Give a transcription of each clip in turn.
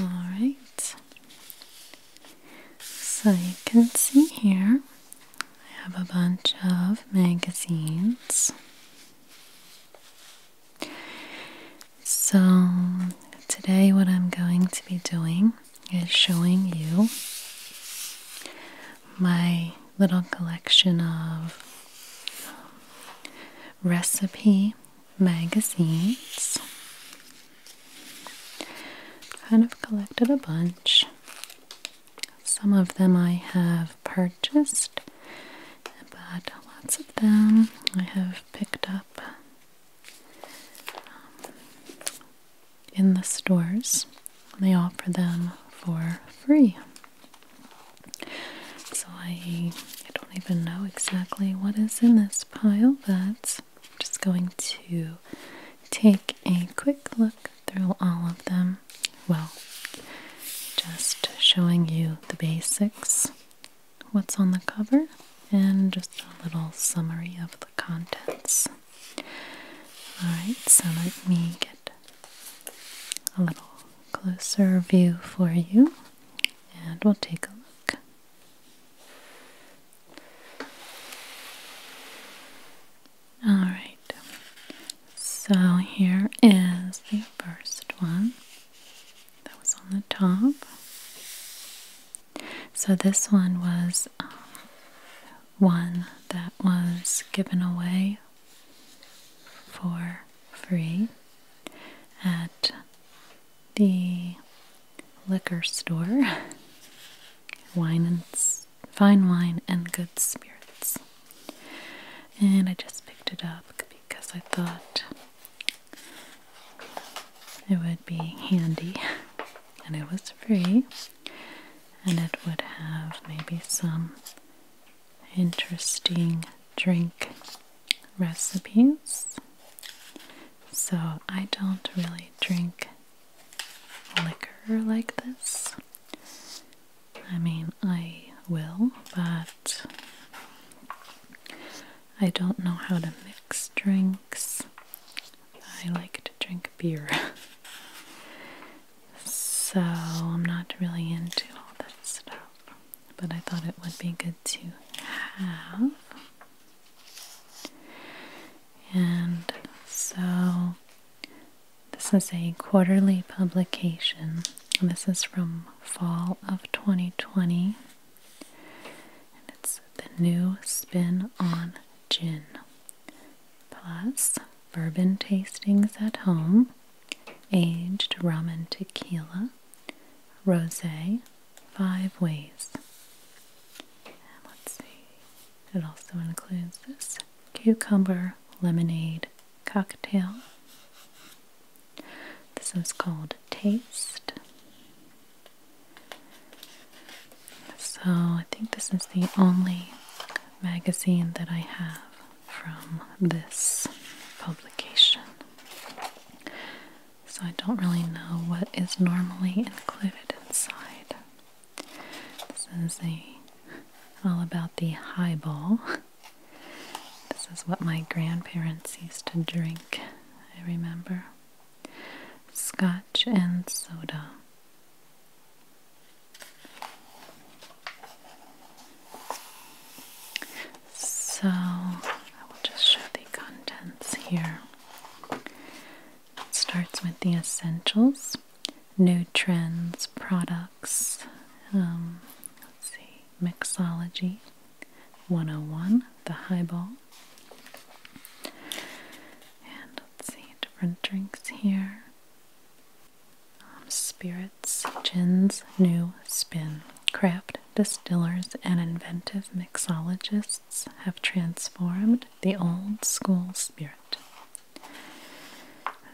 Alright, so you can see here I have a bunch of magazines. So, today, what I'm going to be doing is showing you my little collection of recipe magazines. Kind of collected a bunch. Some of them I have purchased, but lots of them I have picked up um, in the stores. They offer them for free. So I, don't even know exactly what is in this pile, but I'm just going to take a quick look through all of them. Well, just showing you the basics, what's on the cover, and just a little summary of the contents. Alright, so let me get a little closer view for you and we'll take a look. Alright, so here is the first one that was on the top. So this one was um, one that was given away for free at the liquor store wine and fine wine and good spirits and I just picked it up because I thought it would be handy and it was free and it would have maybe some interesting drink recipes. So, I don't really drink liquor like this. I mean, I will, but I don't know how to mix drinks. I like to drink beer. so, I'm not really into all that stuff but I thought it would be good to have. And so this is a quarterly publication. and This is from fall of 2020. And it's the new spin on gin. Plus bourbon tastings at home, aged rum and tequila, Rosé Five Ways. let's see, it also includes this cucumber lemonade cocktail. This is called Taste. So I think this is the only magazine that I have from this publication. So I don't really know what is normally included inside. This is a all about the highball. This is what my grandparents used to drink, I remember. Scotch and soda. So I will just show the contents here. It starts with the essentials, new trends, products, um, let's see, mixology 101, the highball. And let's see, different drinks here. Um, spirits, gin's new spin. Craft distillers and inventive mixologists have transformed the old school spirit.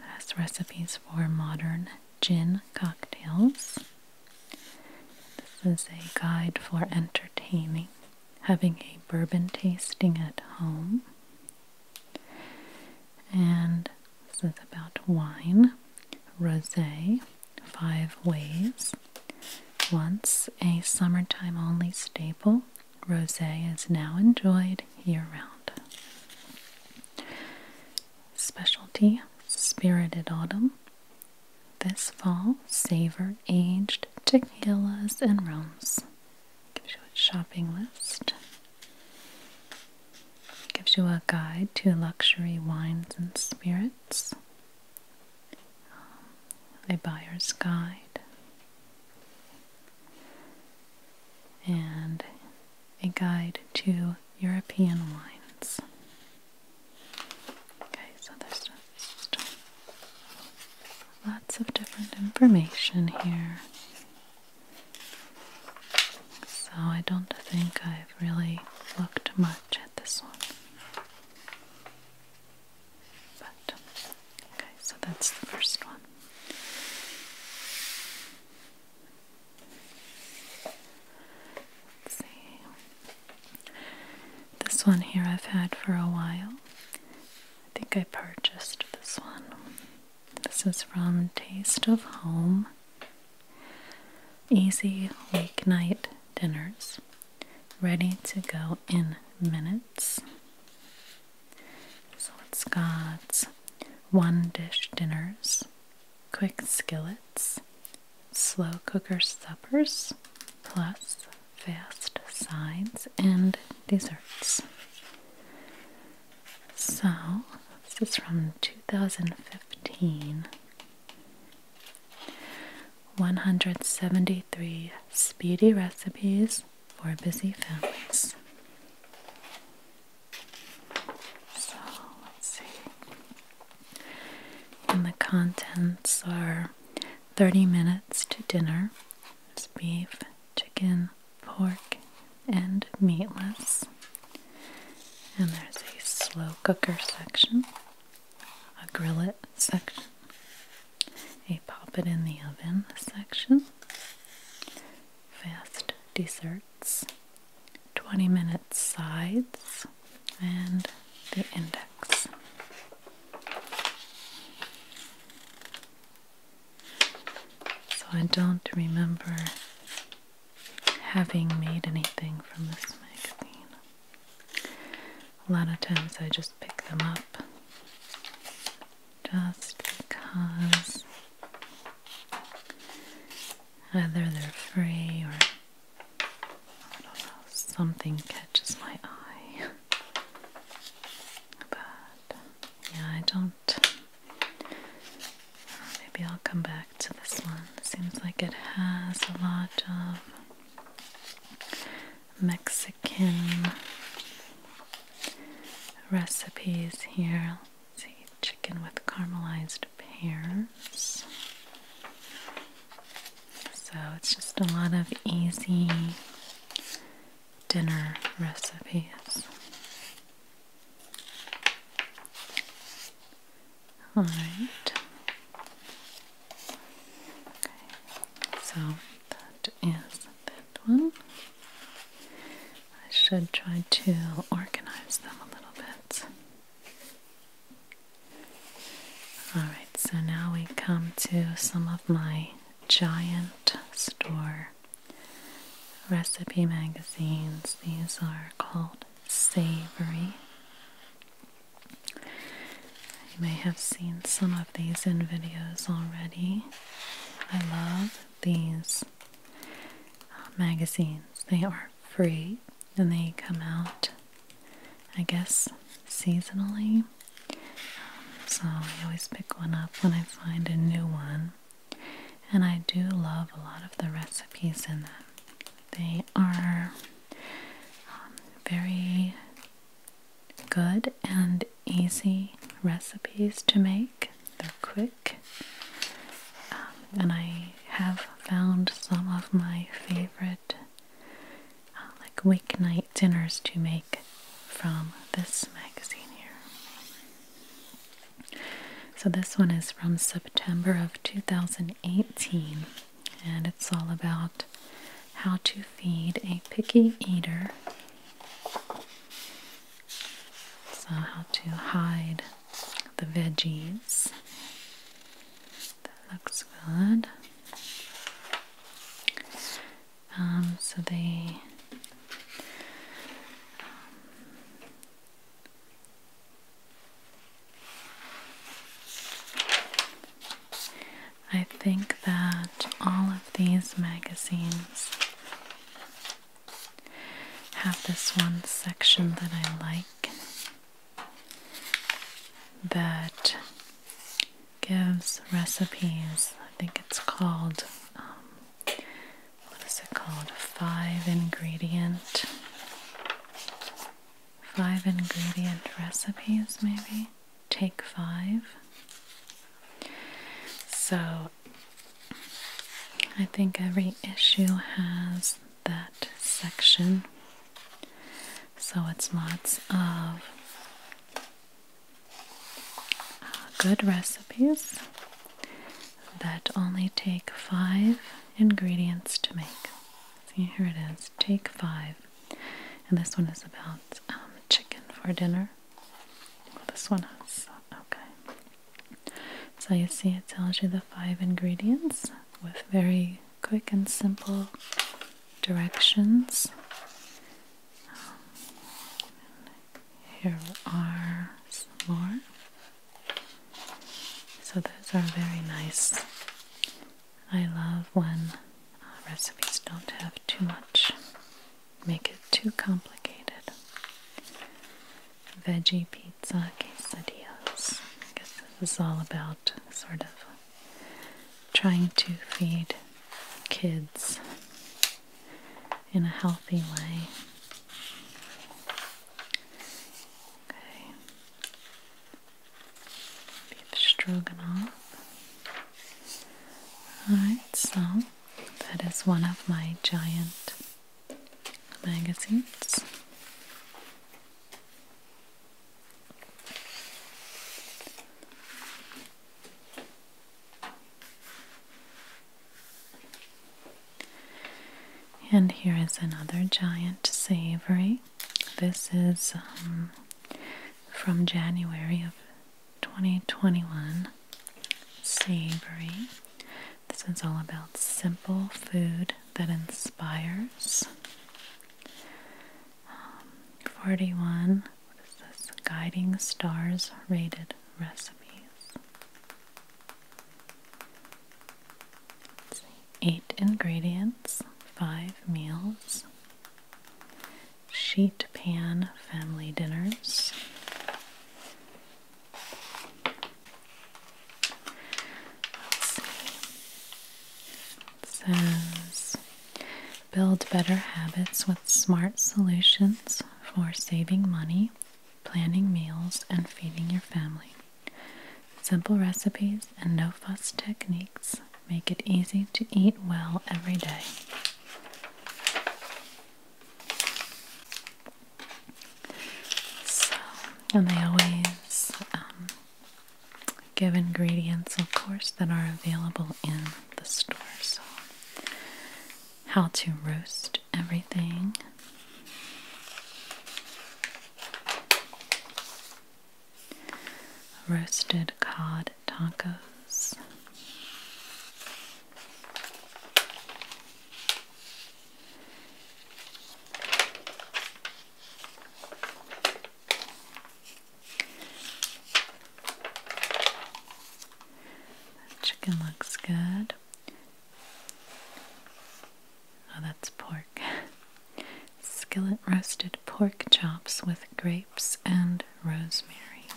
That's recipes for modern gin cocktails. This is a guide for entertaining, having a bourbon tasting at home. And this is about wine, rosé, five ways. Once a summertime only staple, rosé is now enjoyed year round. Specialty Spirited Autumn. This fall, savor aged tequilas and rums. Give you a shopping list. Gives you a guide to luxury wines and spirits, a buyer's guide, and a guide to European wines. Okay, so there's lots of different information here. So I don't think I've really looked much at this one. But okay, so that's the first one. Let's see. This one here I've had for a while. I think I purchased this one. This is from Taste of Home Easy weeknight dinners, ready to go in minutes. So it's got one dish dinners, quick skillets, slow cooker suppers, plus fast sides and desserts. So, this is from 2015 173 speedy recipes for busy families. So let's see. And the contents are 30 minutes to dinner. It's beef, chicken, pork, and meatless. And there's a slow cooker section, a grill it section, a pop it in the oven section, fast desserts, 20 minute sides, and the index. So I don't remember having made anything from this magazine. A lot of times I just pick them up just because either they're free or something catches my eye. But yeah, I don't Maybe I'll come back to this one. Seems like it has a lot of Mexican recipes here. see, chicken with caramelized pears. So it's just a lot of easy dinner recipes. All right. Okay. So that is that one. I should try to organize them a little bit. Alright, so now we come to some of my giant store recipe magazines. These are called savory. You may have seen some of these in videos already. I love these uh, magazines. They are free and they come out, I guess, seasonally. so I always pick one up when I find a new one. And I do love a lot of the recipes in them. They are um, very good and easy recipes to make. They're quick, um, and I have found some of my favorite uh, like weeknight dinners to make from this magazine here. So, this one is from September of 2018, and it's all about how to feed a picky eater. So, how to hide the veggies. That looks good. Um, so, they I think that all of these magazines have this one section that I like that gives recipes. I think it's called, um, what is it called? Five ingredient five ingredient recipes, maybe? Take five. So, I think every issue has that section. So, it's lots of uh, good recipes that only take five ingredients to make. See, here it is. Take five. And this one is about um, chicken for dinner. this one has. Okay. So you see, it tells you the five ingredients with very quick and simple directions. Um, here are some more. So those are very nice. I love when uh, recipes don't have too much, make it too complicated. Veggie pizza quesadillas. I guess this is all about sort of trying to feed kids in a healthy way. Okay. Beef stroganoff. Alright, so that is one of my giant magazines. And here is another giant savory. This is um, from January of 2021. Savory. This is all about simple food that inspires. Um, 41. What is this? Guiding Stars Rated Recipes. Eight ingredients, five meals, sheet pan family dinners. Let's see. says build better habits with smart solutions for saving money, planning meals, and feeding your family. Simple recipes and no fuss techniques make it easy to eat well every day. and they always um, give ingredients, of course, that are available in the store. So, how to roast everything roasted cod tacos. That chicken looks good. Oh, that's pork. Skillet roasted pork chops with grapes and rosemary.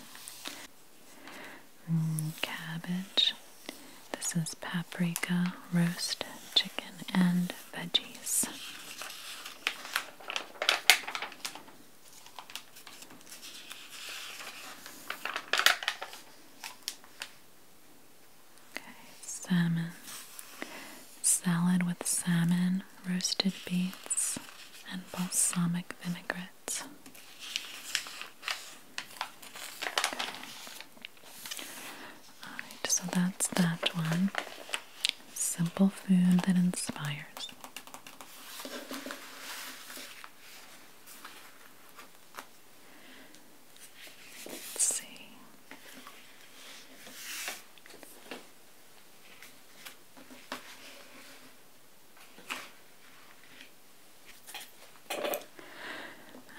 Mm, cabbage. This is paprika, roast chicken, and veggies salmon. Salad with salmon, roasted beets, and balsamic vinaigrette. Okay. Alright, so that's that one. Simple food that inspires. Let's see.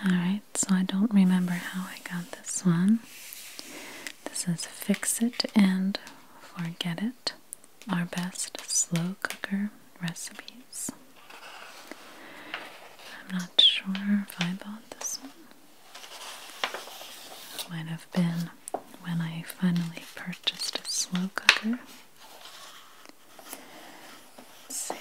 Alright, so I don't remember how I got this one. This is Fix It and Forget It Our Best Slow Cooker Recipes. I'm not sure if I bought this one. This might have been when I finally purchased a slow cooker. let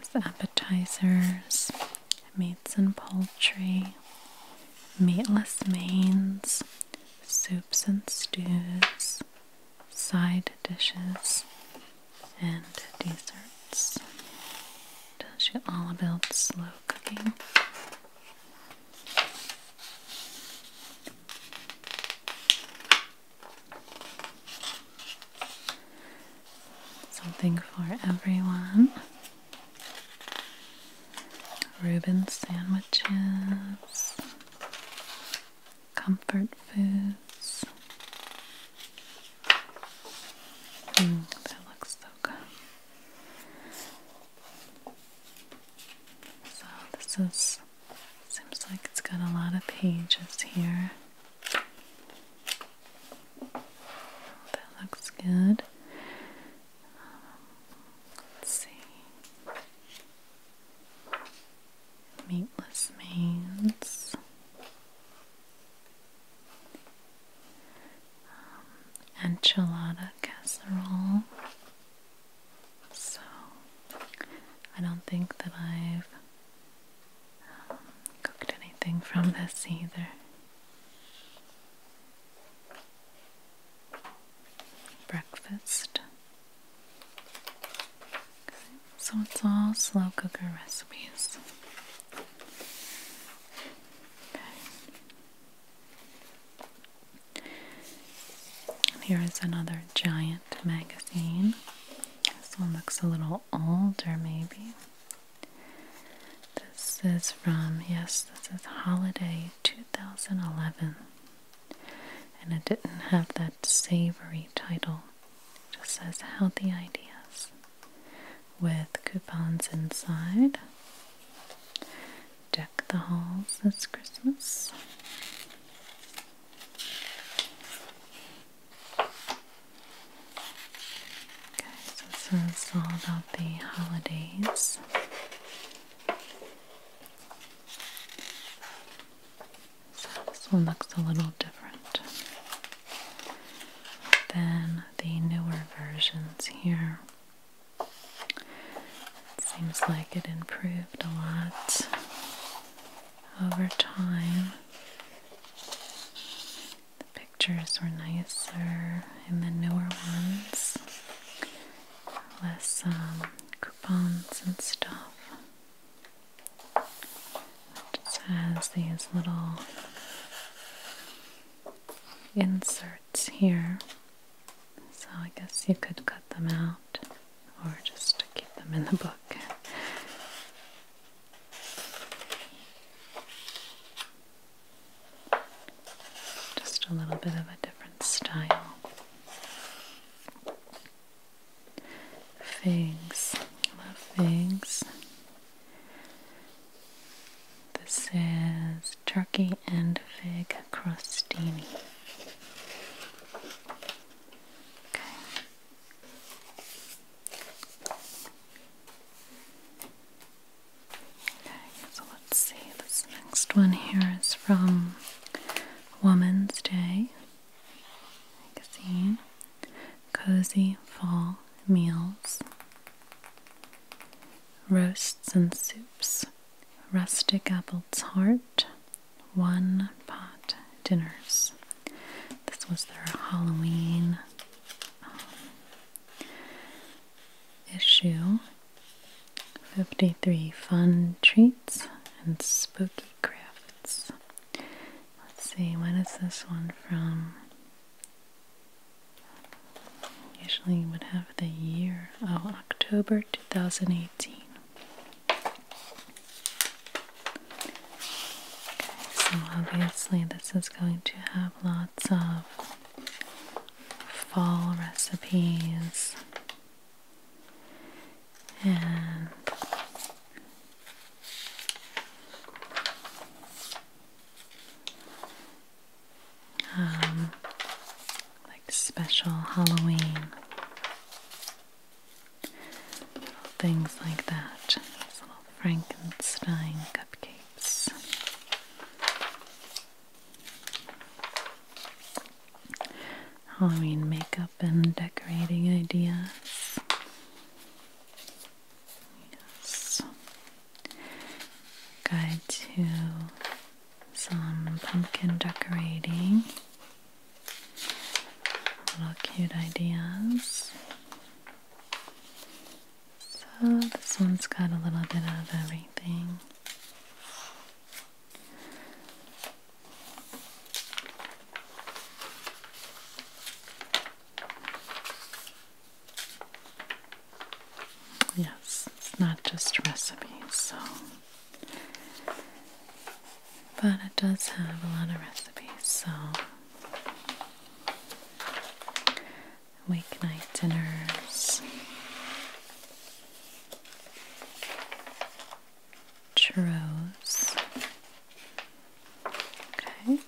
As appetizers, meats and poultry, meatless mains, soups and stews, side dishes and desserts. Tells you all about slow cooking. Something for everyone. Reuben sandwiches, comfort foods. Mm, that looks so good. So this is seems like it's got a lot of pages here. That looks good. Um, let's see meatless mains. Um, enchilada casserole. So, I don't think that I've um, cooked anything from this either. Breakfast so it's all slow cooker recipes. Okay. here is another giant magazine. This one looks a little older, maybe. This is from, yes, this is Holiday 2011 and it didn't have that savory title. It just says healthy ideas with coupons inside. Deck the halls That's Christmas. Okay, so this is all about the holidays. So This one looks a little different than the newer versions here. seems like it improved a lot over time. The pictures were nicer in the newer ones, less um, coupons and stuff. It just has these little inserts here. So I guess you could cut them out or just keep them in the book. Just a little bit of a different style. Figs, love figs. This is turkey and fig crostini. Okay. Okay, so let's see. This next one here is from Woman's Day magazine, Cozy Fall Meals, Roasts and Soups, Rustic Apple Tart, One Pot Dinners. This was their Halloween um, issue. 53 fun treats and spooky Crafts. Let's see, when is this one from? Usually would have the year. Oh, October 2018. Okay, so obviously this is going to have lots of fall recipes and um, like special Halloween little things like that. little Frankenstein cupcakes. Halloween makeup up decorating ideas. Yes. Guide to some pumpkin decorating. Little cute ideas. So this one's got a little bit of everything. Yes, it's not just recipes, so but it does have a lot of recipes, so weeknight dinners churros. Okay,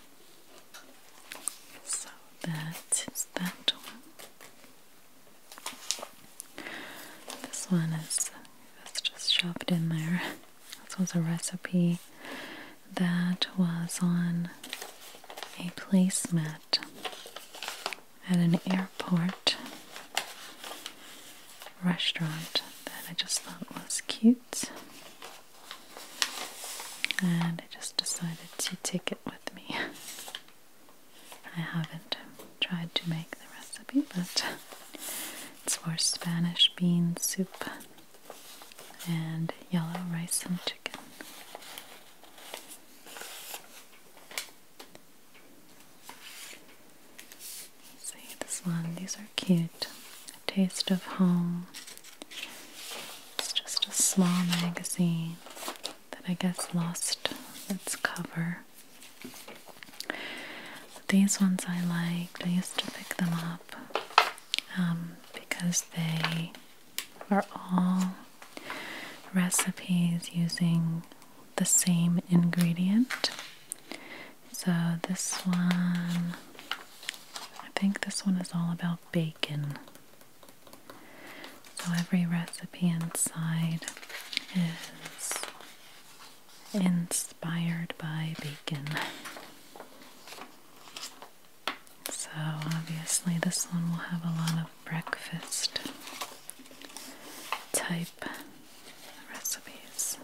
so that is that one. This one is just shoved in there. This was a recipe that was on a placemat at an airport restaurant that I just thought was cute. And I just decided to take it with me. I haven't tried to make the recipe, but it's for Spanish bean soup and yellow rice and chicken. See this one, these are cute. Taste of Home. It's just a small magazine that I guess lost its cover. these ones I liked. I used to pick them up um, because they are all recipes using the same ingredient. So this one, I think this one is all about bacon. So every recipe inside is inspired by bacon. So obviously this one will have a lot of breakfast type recipes.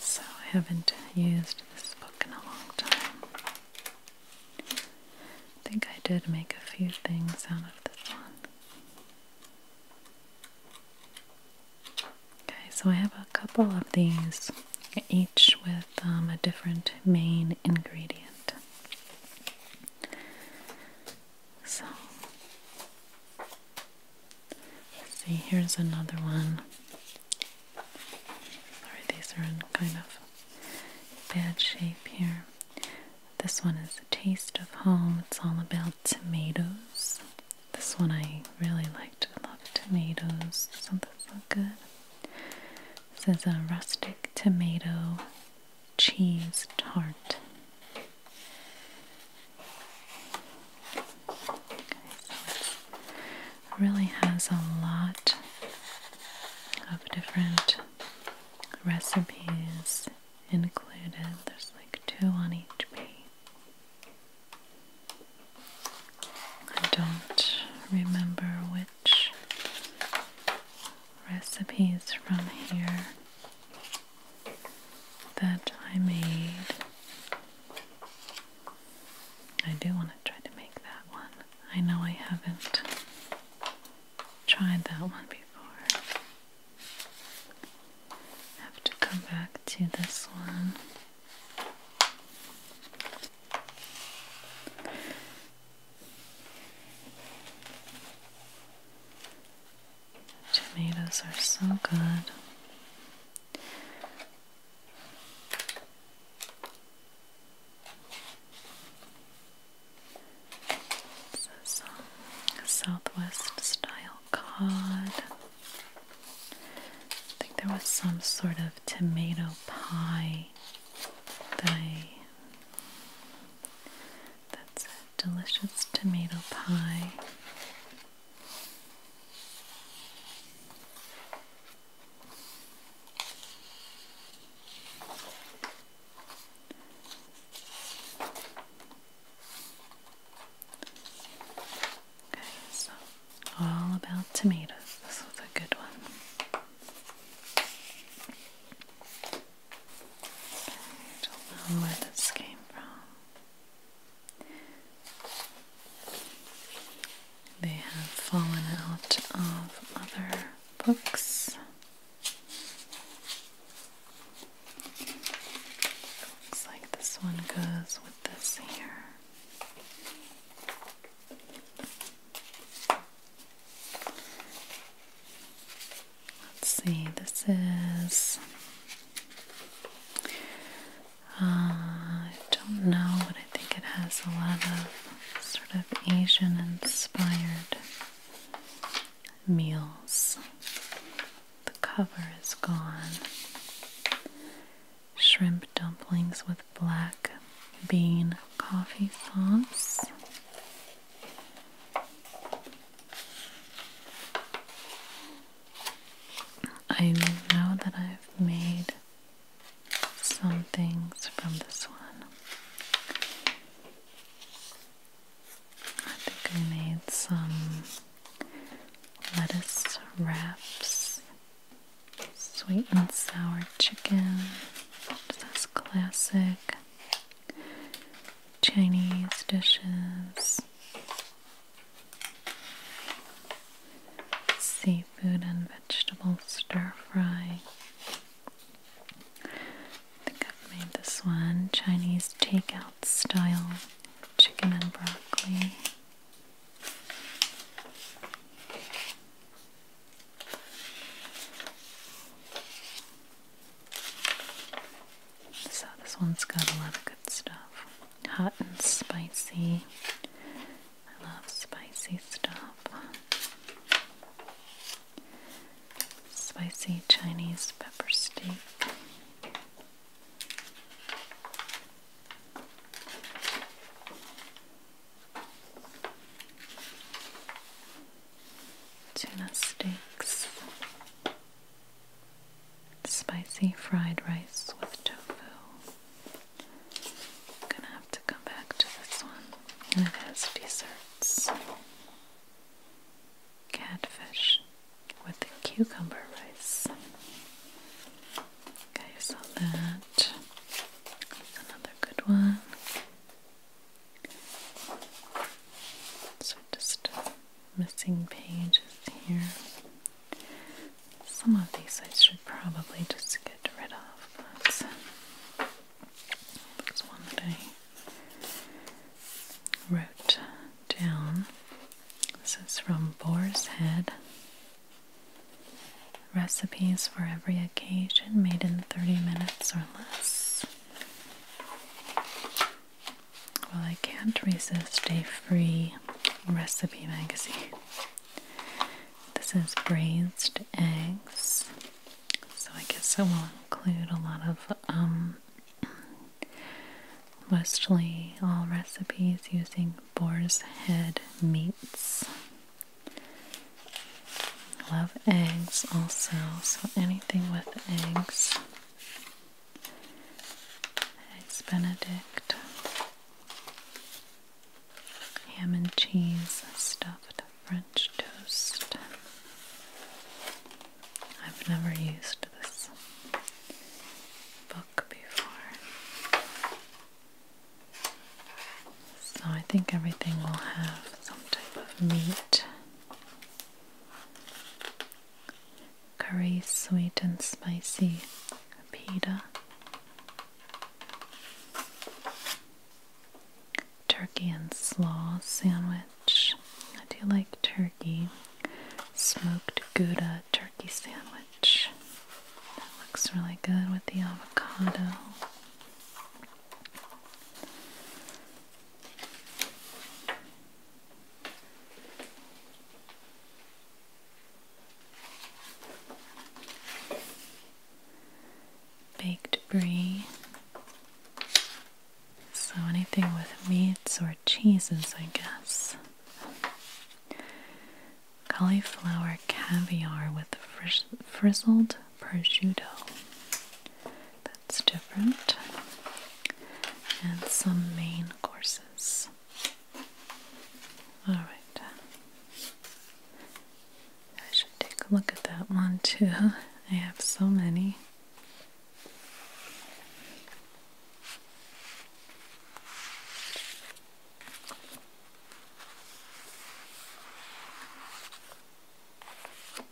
So I haven't used this book in a long time. I think I did make a few things out of this one. Okay, so I have a couple of these, each with um, a different main ingredient. So, see, here's another one. Sorry, these are in kind of bad shape here. This one is a taste of home. It's all about tomatoes. This one I really liked. I love tomatoes. Something so good. This is a rustic tomato cheese tart. really has a lot of different recipes included. There's like two on each page. I don't remember which recipes from here that I made. I do want to try to make that one. I know I haven't tried that one before. Have to come back to this one. Tomatoes are so good. This is Southwest style cod. I think there was some sort of tomato pie that I that's a delicious tomato pie. Okay, so all about tomatoes. This was a good one. I don't know where this came from. They have fallen out of other books. Looks like this one goes with this here. Let's see, this is. Uh, I don't know, but I think it has a lot of sort of Asian inspired meals. The cover is gone. Shrimp dumplings with black bean coffee sauce. I know that I've made some things from this one. I think I made some lettuce wraps, sweet and sour chicken, That's classic. Chinese dishes, seafood and vegetable stir fry. think I've made this one Chinese takeout style chicken and broccoli. So this one's got a lot of good stuff. Hot and spicy. I love spicy stuff. Spicy Chinese pepper steak. Tuna steaks. Spicy fried rice with tofu. gonna have to come back to this one. And it has desserts. Catfish with the cucumber rice. Okay, so That's another good one. So just missing pages here. Some of these I should probably just get rid of, but there's one that I wrote down. This is from Boar's Head. Recipes for every occasion made in 30 minutes or less. Well, I can't resist a free recipe magazine. This is braised eggs, so I guess I will include a lot of mostly um, all recipes using boar's head meats. Love eggs also, so anything with eggs. Eggs Benedict, ham and cheese stuffed French toast. I've never used this book before. So I think everything will have some type of meat curry sweet and spicy pita, turkey and slaw sandwich. I do like turkey. Smoked Gouda turkey sandwich. That looks really good with the avocado. Baked brie. So anything with meats or cheeses, I guess. Cauliflower caviar with frizzled prosciutto. It's different, and some main courses. Alright, I should take a look at that one too. I have so many.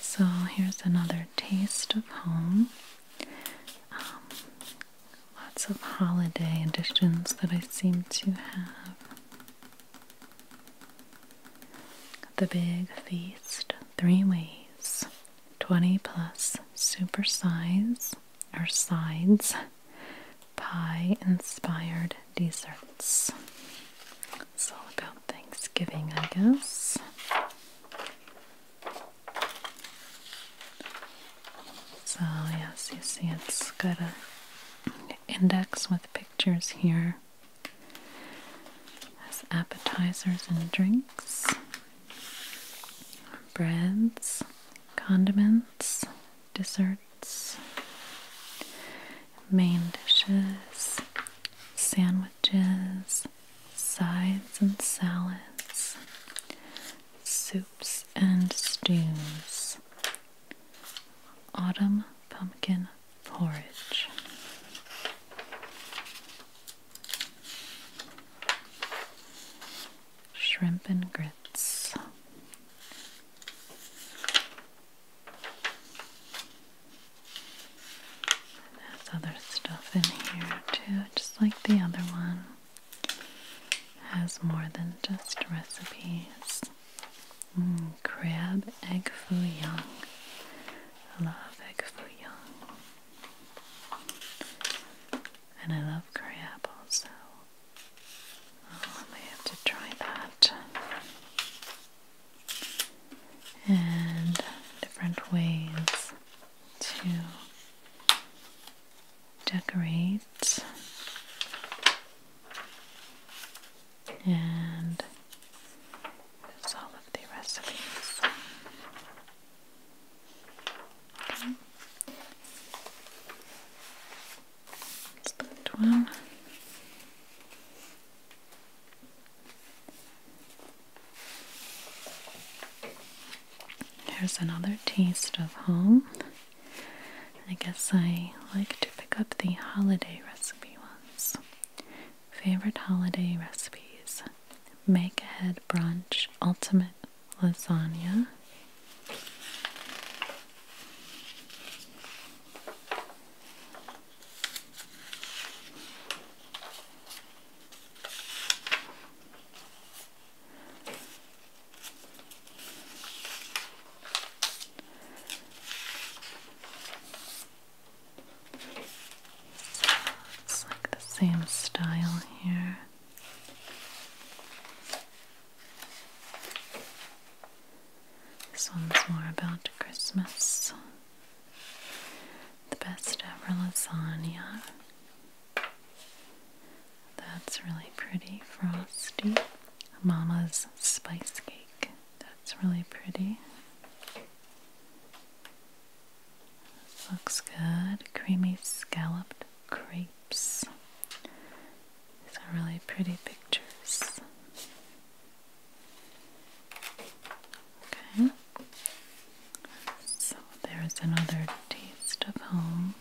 So here's another taste of home. Um, lots of holiday editions that I seem to have. The Big Feast, three ways, 20 plus super size or sides, pie inspired desserts. It's all about Thanksgiving, I guess. So, yes, you see it's got a index with pictures here as appetizers and drinks, breads, condiments, desserts, main dishes, sandwiches, sides and salads, soups and stews, autumn pumpkin porridge. Shrimp and grits, and there's other stuff in here too, just like the other one. Has more than just recipes. Mm, crab egg foo young. I love egg foo young. And I love crab also. Oh, I may have to try that. And different ways to decorate and there's all of the recipes. Okay. That's one. Here's another taste of home. I guess I like to pick up the holiday recipe ones. Favorite holiday recipes make ahead brunch ultimate lasagna, it's like the same style here. This one's more about Christmas. The best ever lasagna. That's really pretty, frosty. Mama's spice cake. That's really pretty. looks good. Creamy scalloped crepes. These are really pretty pictures. Okay. So there's another taste of home.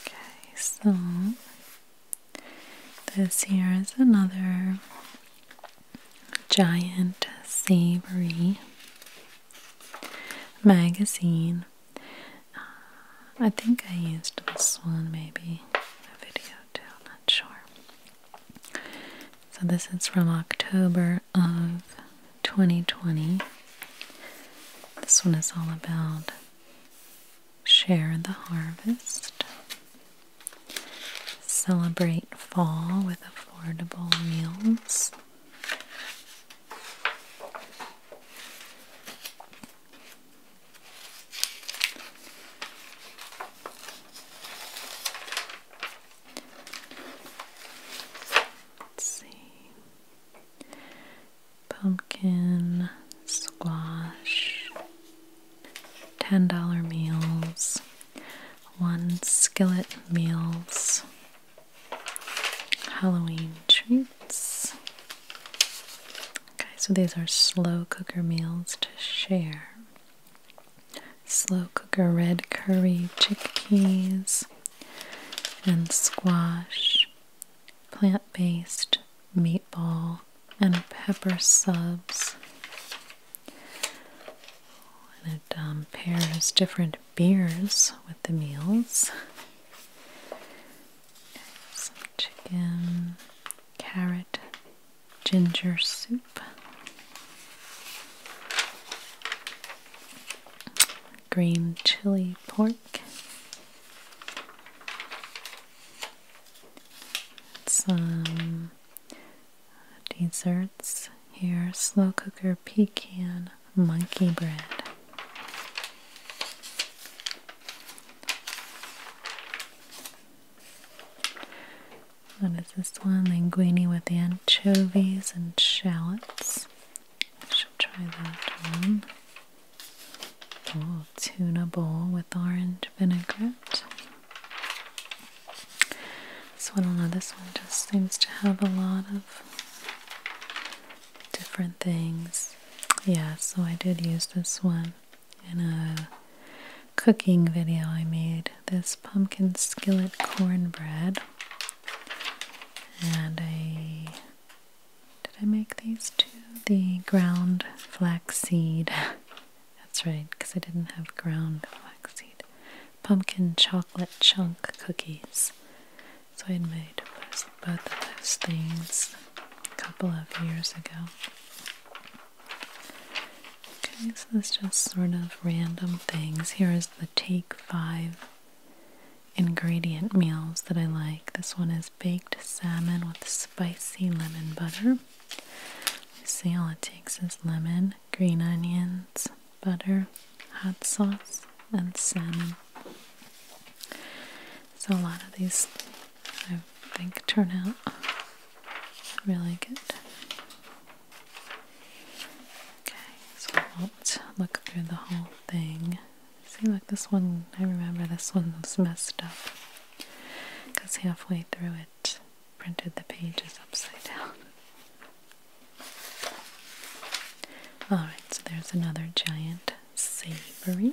Okay, so this here is another giant savory magazine. Uh, I think I used this one, maybe a video too, I'm not sure. So, this is from October of 2020. This one is all about share the harvest, celebrate fall with affordable meals. Let's see. Pumpkin, squash, $10 meals, one skillet meals, Halloween treats. Okay, so these are slow cooker meals to share. Slow cooker red curry, chickpeas, and squash, plant based meatball, and pepper subs. it um, pairs different beers with the meals. Some chicken, carrot, ginger soup, green chili pork, some desserts here slow cooker pecan monkey bread. What is this one? Linguine with anchovies and shallots. I should try that one. Oh, tuna bowl with orange vinaigrette. So I don't know, this one just seems to have a lot of different things. Yeah, so I did use this one in a cooking video I made. This pumpkin skillet cornbread. And I did I make these two? The ground flaxseed. That's right, because I didn't have ground flaxseed pumpkin chocolate chunk cookies. So I made both of those things a couple of years ago. Okay, so it's just sort of random things. Here is the Take 5 ingredient meals that I like. This one is baked salmon with spicy lemon butter. see, how it takes is lemon green onions, butter, hot sauce, and salmon. So, a lot of these I think turn out really good. Okay, so I won't look through the whole thing. See, look, this one, I remember this one was messed up because halfway through it printed the pages upside down. Alright, so there's another giant savory.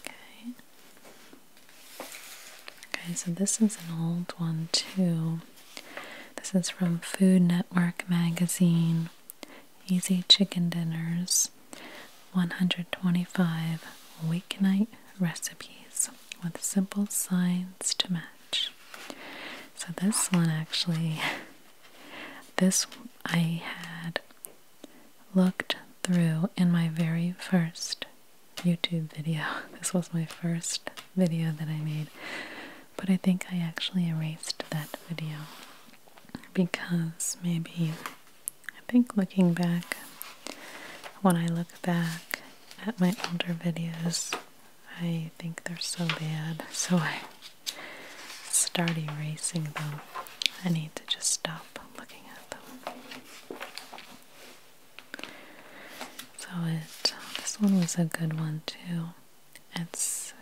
Okay. Okay, so this is an old one too. This is from Food Network magazine. Easy Chicken Dinners 125 Weeknight Recipes with Simple Signs to Match. So this one actually, this I had looked through in my very first YouTube video. This was my first video that I made, but I think I actually erased that video because maybe I think looking back, when I look back at my older videos, I think they're so bad, so I start erasing them. I need to just stop looking at them. So it this one was a good one too. It's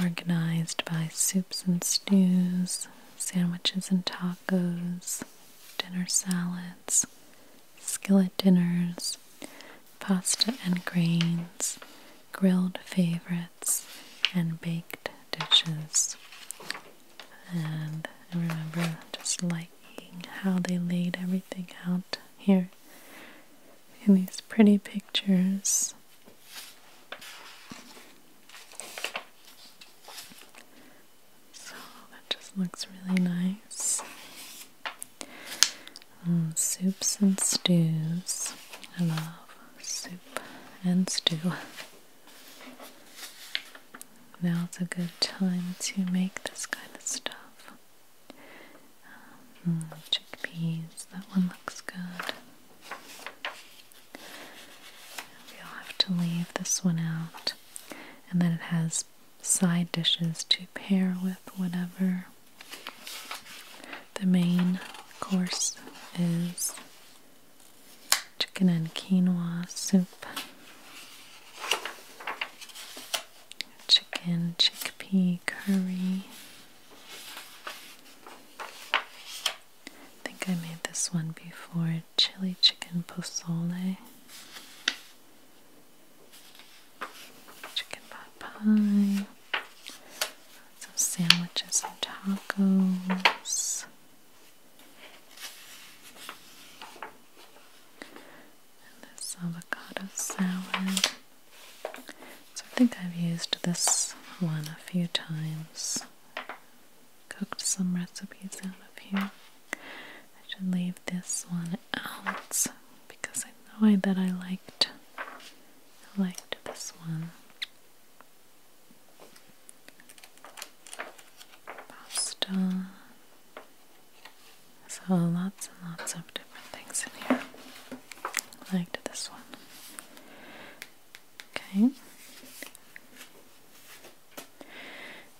organized by soups and stews, sandwiches and tacos, dinner salads, skillet dinners, pasta and grains, grilled favorites, and baked dishes. And I remember just liking how they laid everything out here in these pretty pictures. So that just looks really nice. Mm, soups and stews. I love soup and stew. Now it's a good time to make this kind of stuff. Mm, chickpeas, that one looks good. We'll have to leave this one out. And then it has side dishes to pair with whatever the main course is chicken and quinoa soup, chicken chickpea curry. I think I made this one before chili chicken pozole chicken pot pie, some sandwiches and tacos, and this avocado salad. So I think I've used this one a few times. Cooked some recipes out of here. I should leave this one out because I know that I liked liked this one. Pasta. So lots and lots of different things in here. liked this one. Okay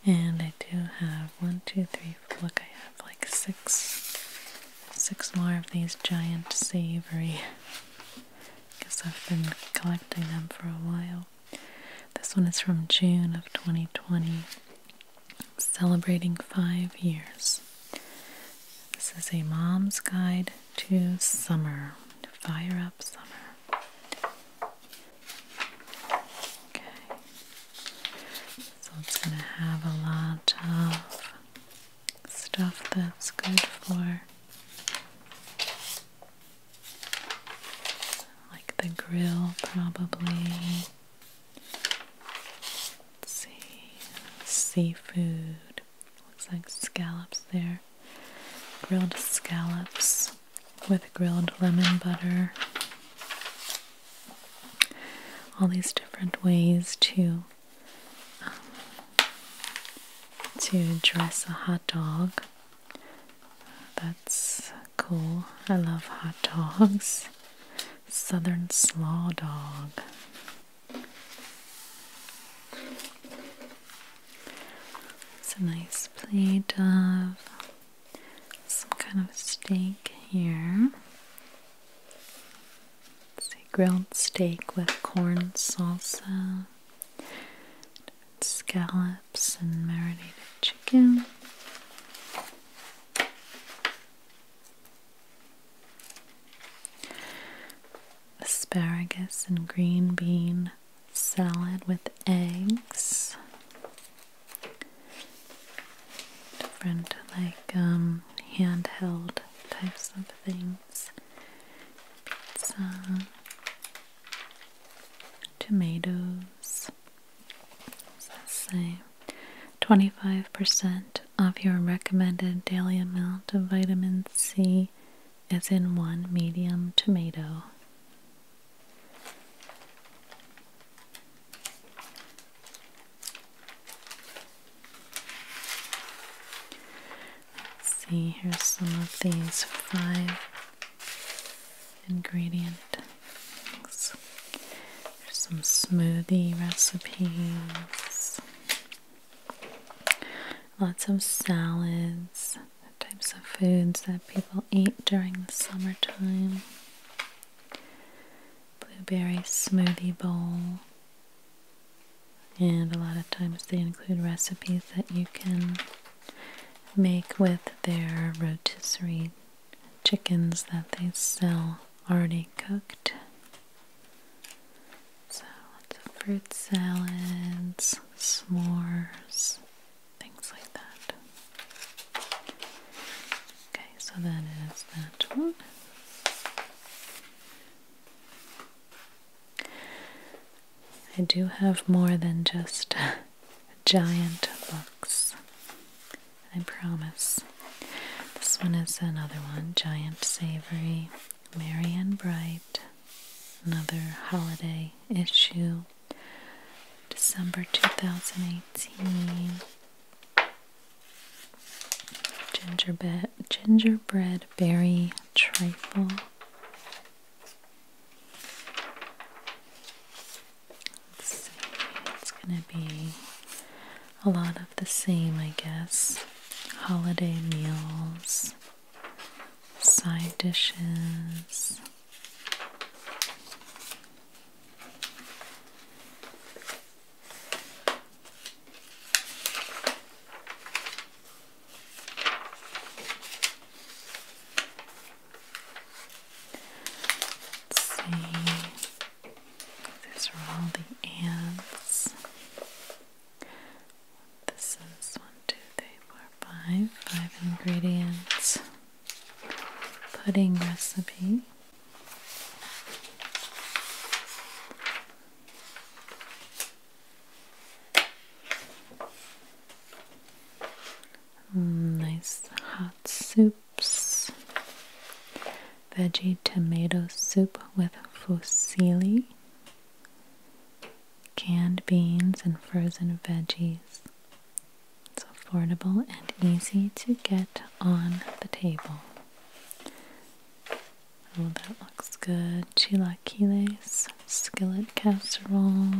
and I do have one, two, three. look I have like six, six more of these giant savory, Because I've been collecting them for a while. This one is from June of 2020, celebrating five years. This is a mom's guide to summer, fire up summer. Okay. So it's going to have a lot of stuff that's good for like the grill probably. Let's see. Seafood. Looks like scallops there. Grilled scallops with grilled lemon butter all these different ways to um, to dress a hot dog. That's cool. I love hot dogs. Southern slaw dog. It's a nice plate of some kind of steak here. It's a grilled steak with corn salsa, scallops, and marinated chicken. Asparagus and green bean salad with eggs different like um, handheld types of things. Pizza, uh, tomatoes. Let's say 25% of your recommended daily amount of vitamin C is in one medium tomato. Let's see, here's some of these five ingredient some smoothie recipes, lots of salads, types of foods that people eat during the summertime blueberry smoothie bowl. And a lot of times they include recipes that you can make with their rotisserie chickens that they sell already cooked. So lots of fruit salads, s'mores, things like that. Okay, so that is that one. I do have more than just giant books. I promise. This one is another one Giant Savory, Marianne Bright, another holiday issue, December 2018 gingerbread, gingerbread berry trifle, let's see, it's gonna be a lot of the same, I guess, holiday meals, side dishes. Let's see. These are all the ants. This is one, two, three, four, five. Five ingredients pudding recipe. Mm, nice hot soups. Veggie tomato soup with fusilli, canned beans and frozen veggies, it's affordable and easy to get on the table. Oh, that looks good. Chilaquiles, skillet casserole,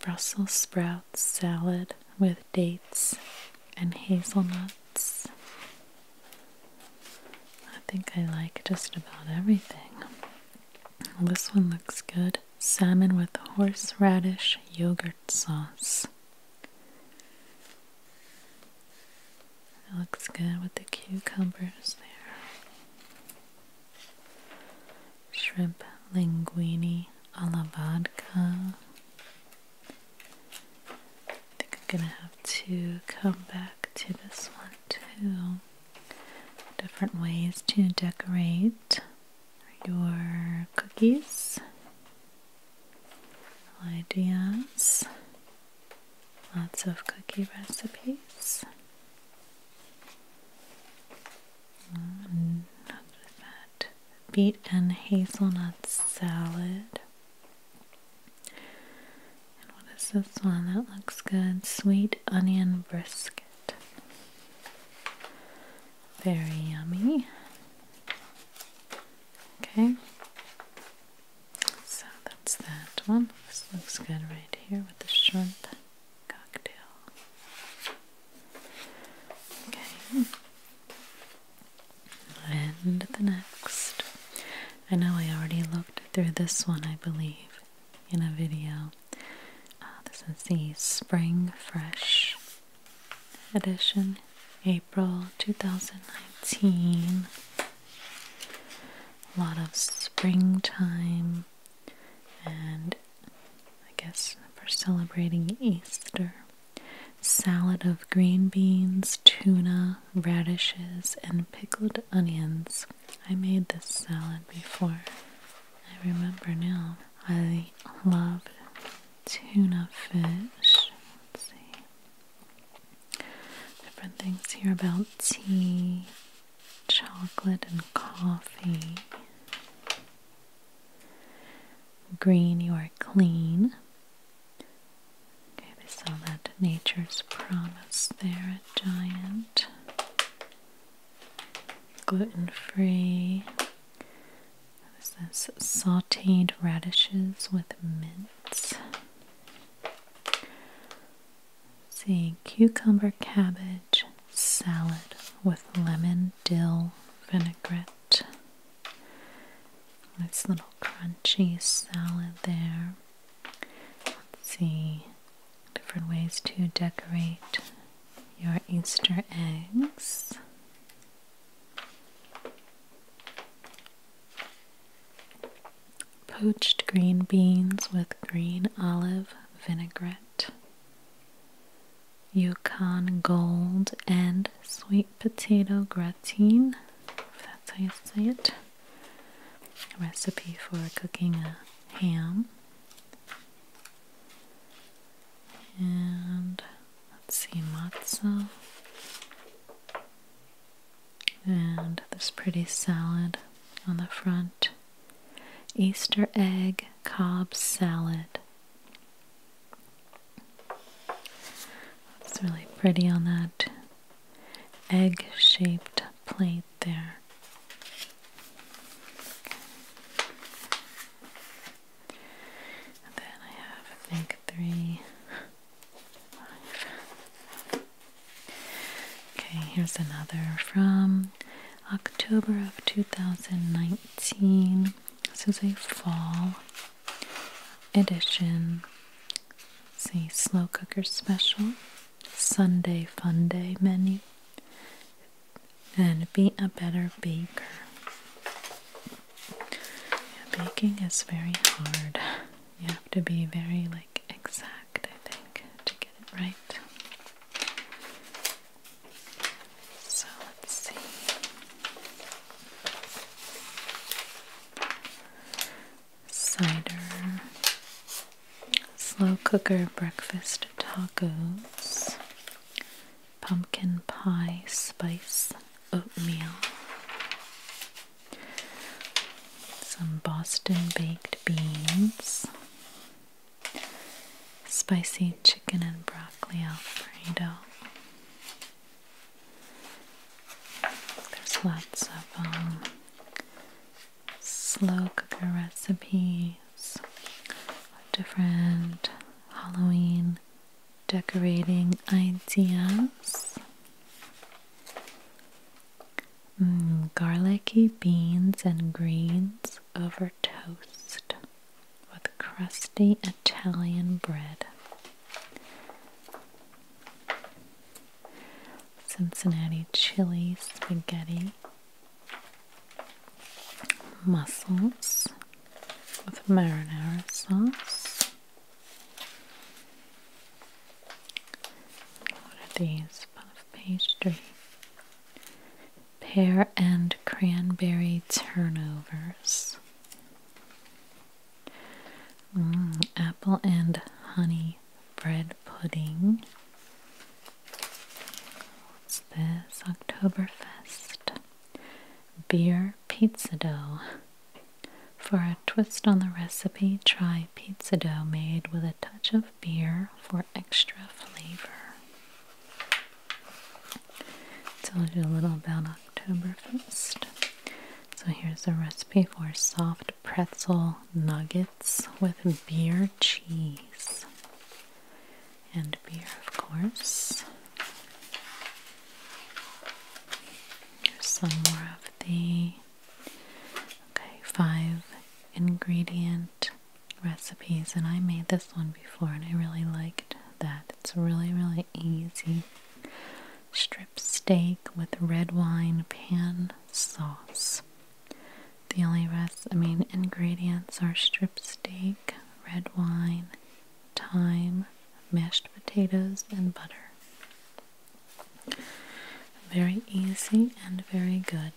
Brussels sprouts salad with dates and hazelnuts. I think I like just about everything. This one looks good salmon with horseradish yogurt sauce. It looks good with the cucumbers there. Shrimp linguini a vodka. I think I'm gonna have to come back to this one too. Different ways to decorate your cookies, ideas, lots of cookie recipes. And that beet and hazelnut salad. what is this one? That looks good. Sweet onion brisket. Very yummy. Okay. So that's that one. This looks good right here with the shrimp cocktail. Okay. And the next. I know I already looked through this one, I believe in a video. Uh, this is the Spring Fresh edition, April 2019. A lot of springtime, and I guess for celebrating Easter. Salad of green beans, tuna, radishes, and pickled onions. I made this salad before. I remember now. I love tuna fish. Let's see. Different things here about tea, chocolate, and coffee. Green, you are clean. Okay, they sell that Nature's Promise there a Giant gluten free. What is this? Sauteed radishes with mint. see, cucumber cabbage salad with lemon dill vinaigrette. Nice little crunchy salad there. Let's see, different ways to decorate your Easter eggs. Poached green beans with green olive vinaigrette, Yukon gold, and sweet potato gratin, that's how you say it. recipe for cooking a ham and let's see matzo and this pretty salad on the front Easter egg cob salad it's really pretty on that egg shaped plate there then I have, I think, three, Okay, here's another from October of 2019. This is a fall edition. It's a slow cooker special Sunday Fun Day menu and be a better baker. baking is very hard. You have to be very like exact, I think, to get it right. So let's see. Cider, slow cooker breakfast tacos, pumpkin pie spice oatmeal, some Boston baked beans, spicy chicken and broccoli alfredo. There's lots of um, slow cooker recipes different Halloween decorating ideas. Mm, garlicky beans and greens over toast with crusty Italian bread. Cincinnati chili spaghetti mussels with marinara sauce. What are these? Puff pastry. Pear and cranberry turnovers. Mm, apple and honey bread pudding. What's this? Octoberfest Beer pizza dough. For a twist on the recipe, try pizza dough made with a touch of beer for extra flavor. Told you a little about Oktoberfest. So here's a recipe for soft pretzel nuggets with beer cheese and beer, of course. Here's some more of the okay five ingredient recipes, and I made this one before, and I really liked that. It's really really easy. Strip steak with red wine pan sauce. The only rest, I mean, ingredients are strip steak, red wine, thyme, mashed potatoes, and butter. Very easy and very good.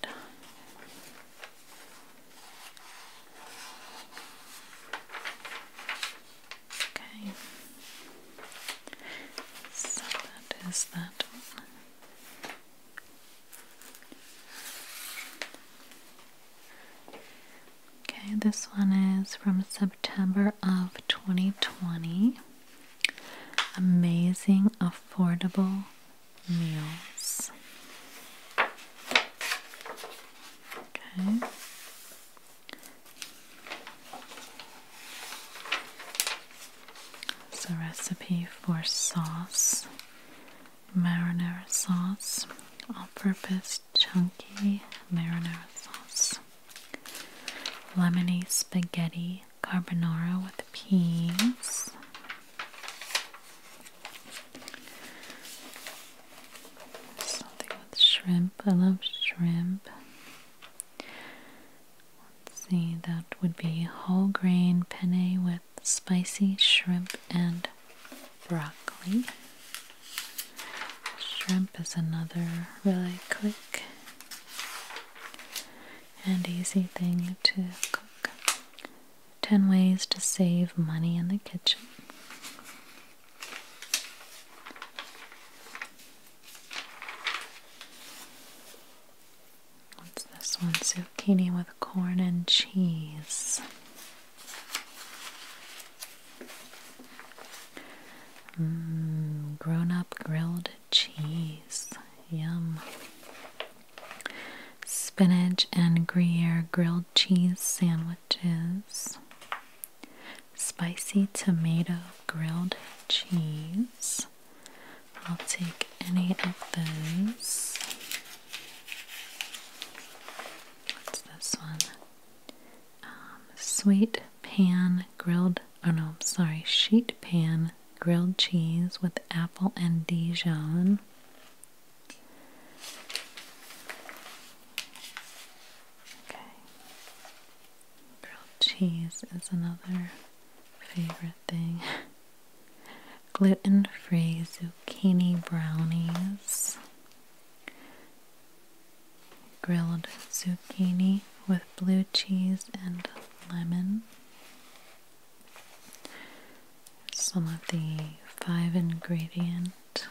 Okay, so that is that Okay, this one is from September of 2020. Amazing affordable meals. Okay. It's a recipe for sauce marinara sauce, all purpose chunky marinara sauce, lemony spaghetti carbonara with peas. Something with shrimp. I love shrimp. Let's see, that would be whole grain penne with spicy shrimp and broccoli. Shrimp is another really quick and easy thing to cook. 10 ways to save money in the kitchen. What's this one? zucchini with corn and cheese. Mmm, grown up grilled cheese. Yum. Spinach and Gruyere grilled cheese sandwiches. Spicy tomato grilled cheese. I'll take any of those. What's this one? Um, sweet pan grilled, oh no, sorry, sheet pan grilled cheese with apple and Dijon. Okay. Grilled cheese is another favorite thing. gluten free zucchini brownies, grilled zucchini with blue cheese and lemon. Some of the five ingredient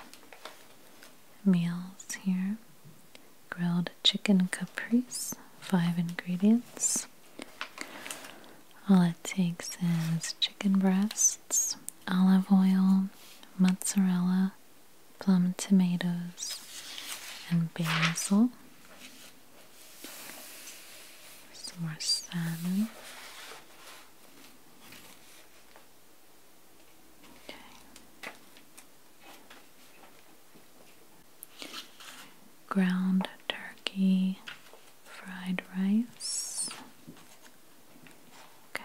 meals here grilled chicken caprese, five ingredients. All it takes is chicken breasts, olive oil, mozzarella, plum tomatoes, and basil. Some more salmon. Okay. Ground turkey, fried rice. Okay.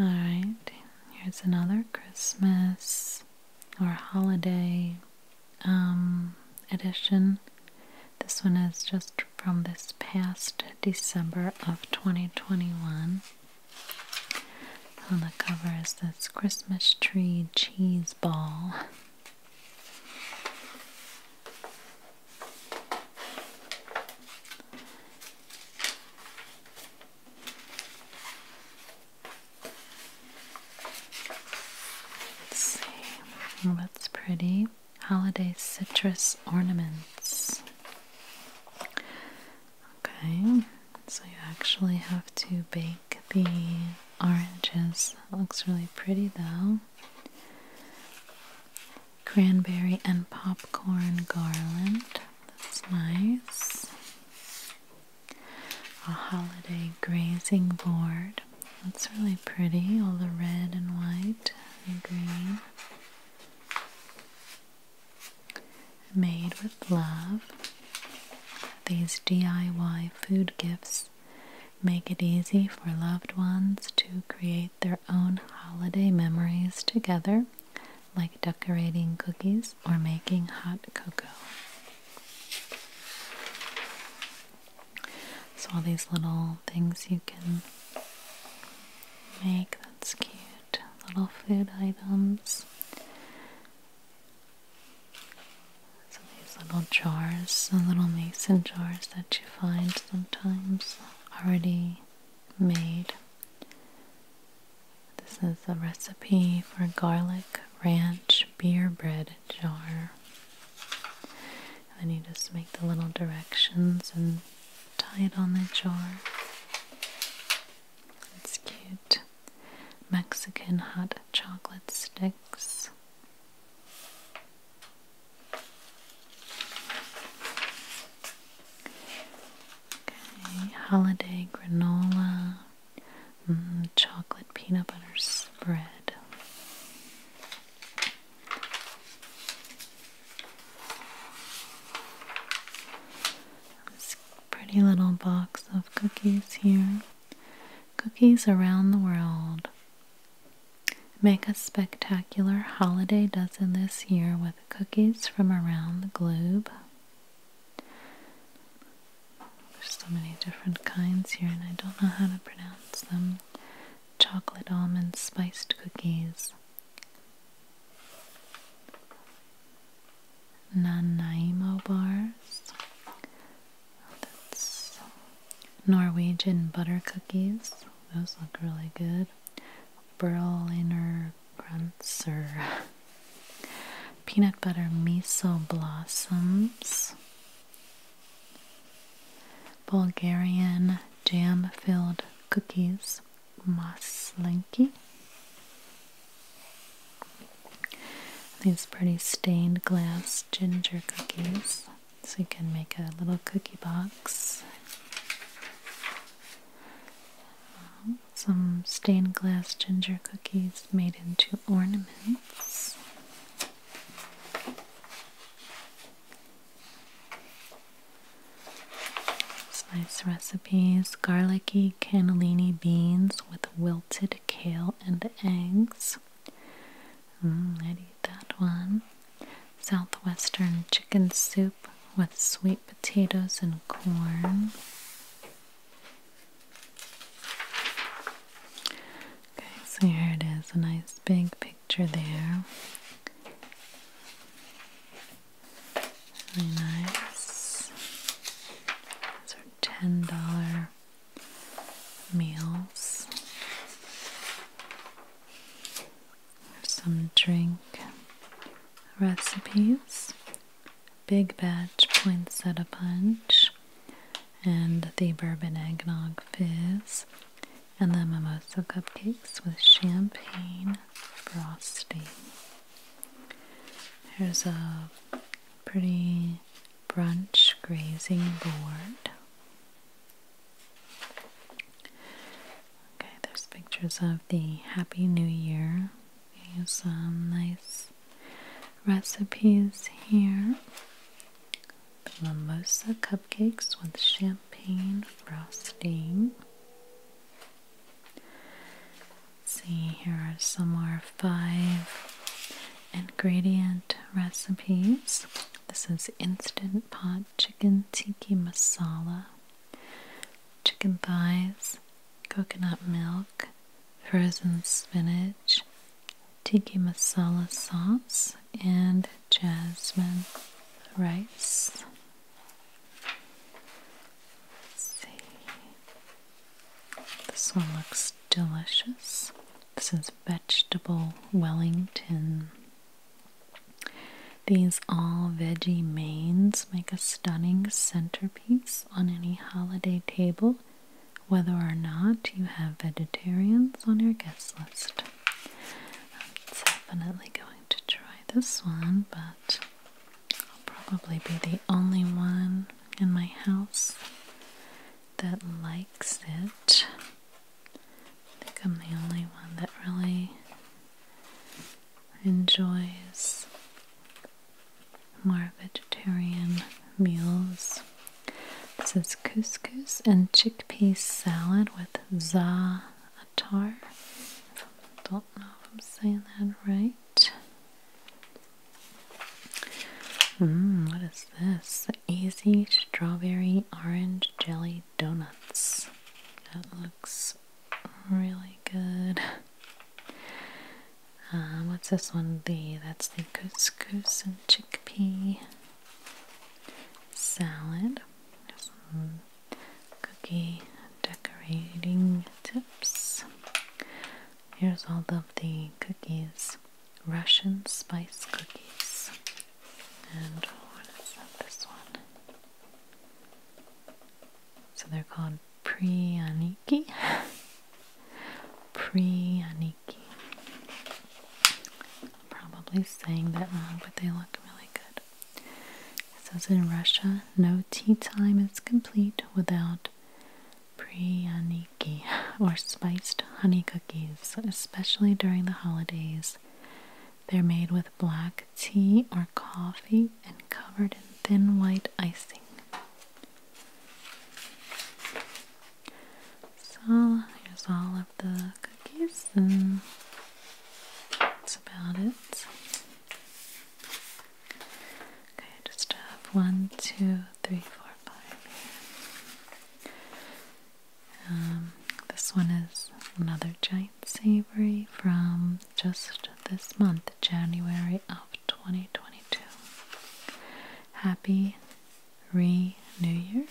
Alright, here's another Christmas or holiday um, edition. This one is just from this past December of 2021. On the cover is this Christmas tree cheese ball. Let's see what's pretty. Holiday citrus ornaments. Okay, so you actually have to bake the oranges. looks really pretty though. Cranberry and popcorn garland. That's nice. A holiday grazing board. That's really pretty. All the red and white and green. Made with love. These DIY food gifts Make it easy for loved ones to create their own holiday memories together, like decorating cookies or making hot cocoa. So, all these little things you can make that's cute, little food items. So these little jars, the little mason jars that you find sometimes already made. This is a recipe for garlic ranch beer bread jar. And then you just make the little directions and tie it on the jar. It's cute. Mexican hot chocolate sticks holiday granola, mm, chocolate peanut butter spread. This pretty little box of cookies here. Cookies around the world. Make a spectacular holiday dozen this year with cookies from around the globe. There's so many different kinds here, and I don't know how to pronounce them. Chocolate almond spiced cookies. Nanaimo bars, that's Norwegian butter cookies. Those look really good. Berliner Grunts peanut butter miso blossoms. Bulgarian jam filled cookies. Maslinki. These pretty stained glass ginger cookies. So you can make a little cookie box. Some stained glass ginger cookies made into ornaments. Some nice recipes garlicky cannellini beans with wilted kale and eggs. Mm, I'd that one. Southwestern chicken soup with sweet potatoes and corn. Okay, so here it is, a nice big picture there. Really nice. These are ten dollar meals, some drink recipes, Big Batch Poinsettia Punch, and the Bourbon Eggnog Fizz, and the Mimosa Cupcakes with Champagne Frosting. Here's a pretty brunch grazing board. Okay, there's pictures of the Happy New Year. some nice recipes here. The limosa cupcakes with champagne frosting. see, here are some more five Ingredient recipes. This is instant pot chicken tiki masala, chicken thighs, coconut milk, frozen spinach, tiki masala sauce, and jasmine rice. see. This one looks delicious. This is vegetable Wellington. These all veggie mains make a stunning centerpiece on any holiday table, whether or not you have vegetarians on your guest list. I'm definitely going to try this one, but I'll probably be the only one in my house that likes it. I think I'm the only one that really enjoys more vegetarian meals. This is couscous and chickpea salad with za'atar. Don't know if I'm saying that right. Mmm, what is this? Easy strawberry orange jelly donuts. That looks really good. Uh, what's this one? The that's the couscous and chickpea salad. some cookie decorating tips. Here's all of the cookies Russian spice cookies. And what is this one? So they're called Priyaniki. Priyaniki. Probably saying that wrong, but they look really good. It says in Russia, no tea time is complete without Priyaniki or spiced honey cookies, especially during the holidays. They're made with black tea or coffee and covered in thin white icing. So here's all of the cookies, and that's about it. Okay, just have one, two, three, four, five um, this one is another giant savory from just this month, January of 2022. Happy Re New Year.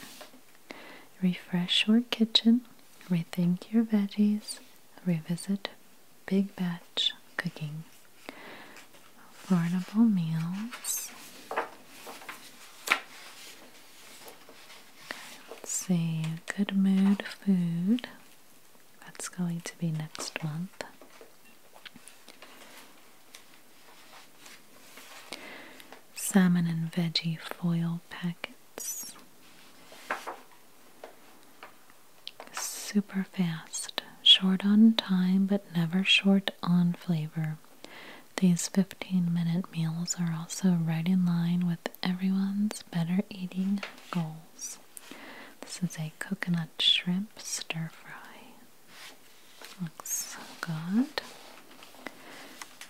Refresh your kitchen, rethink your veggies, revisit big batch cooking affordable meals. Okay, let's see, good mood food. That's going to be next month. Salmon and veggie foil packets. Super fast. Short on time, but never short on flavor. These 15 minute meals are also right in line with everyone's better eating goals. This is a coconut shrimp stir fry. Looks good.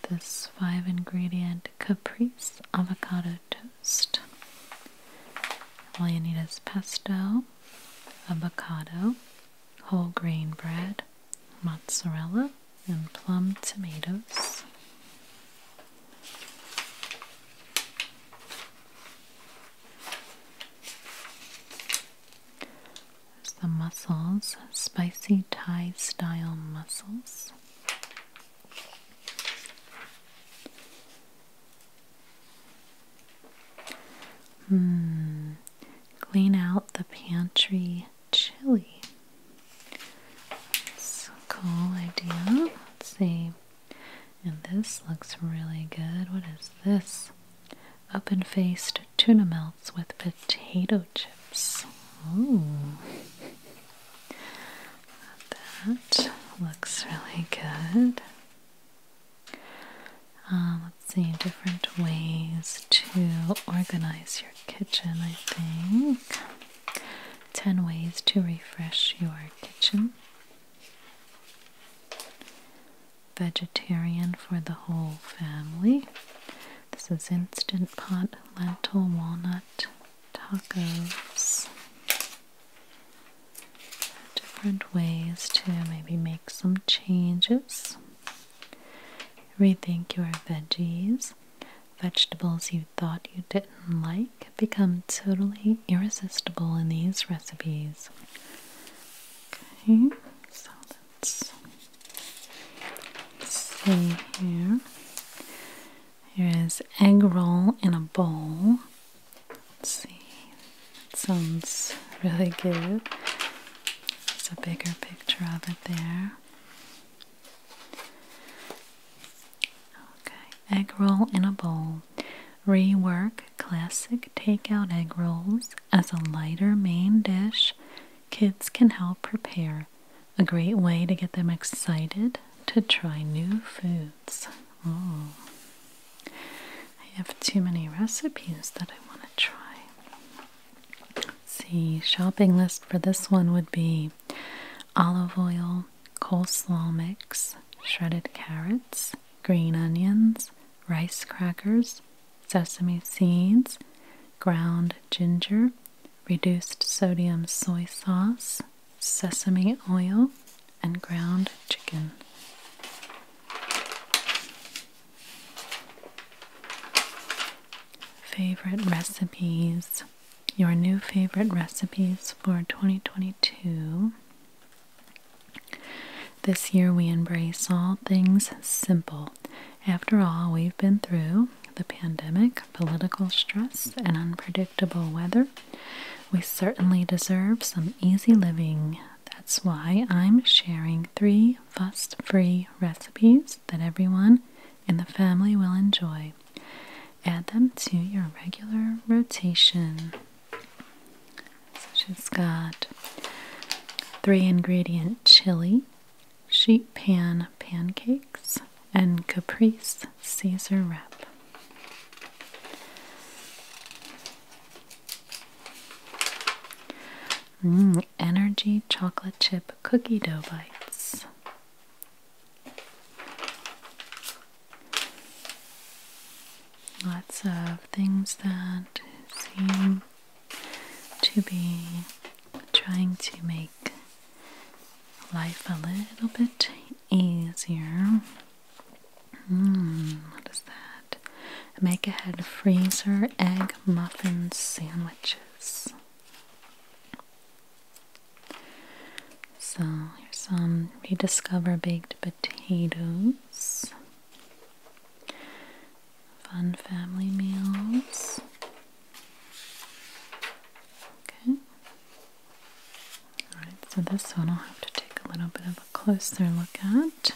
This five ingredient caprice avocado toast. All you need is pesto, avocado, whole grain bread, mozzarella, and plum tomatoes. the mussels, spicy Thai style mussels. Hmm. Clean out the pantry chili. That's a cool idea. Let's see. And this looks really good. What is this? open faced tuna melts with potato chips. Ooh. That looks really good. Uh, let's see, different ways to organize your kitchen, I think. 10 ways to refresh your kitchen. Vegetarian for the whole family. This is instant pot lentil walnut tacos. Different ways to maybe make some changes. Rethink your veggies. Vegetables you thought you didn't like become totally irresistible in these recipes. Okay, so let's see here. Here is egg roll in a bowl. Let's see sounds really good. It's a bigger picture of it there. Okay, egg roll in a bowl. Rework classic takeout egg rolls as a lighter main dish. Kids can help prepare. A great way to get them excited to try new foods. Oh, I have too many recipes that I want to try. Let's see, shopping list for this one would be olive oil, coleslaw mix, shredded carrots, green onions, rice crackers, sesame seeds, ground ginger, reduced sodium soy sauce, sesame oil, and ground chicken. Favorite recipes. Your new favorite recipes for 2022. This year we embrace all things simple. After all, we've been through the pandemic, political stress, and unpredictable weather. We certainly deserve some easy living. That's why I'm sharing three fuss free recipes that everyone in the family will enjoy. Add them to your regular rotation. So she's got three ingredient chili, sheet pan pancakes, and caprice Caesar wrap. Mm, energy chocolate chip cookie dough bites. Lots of things that seem to be trying to make life a little bit easier. Mm, what is that? that. Make ahead freezer egg muffin sandwiches. So here's some rediscover baked potatoes. Fun family meals. Okay. Alright, so this one I'll have to take a little bit of a closer look at.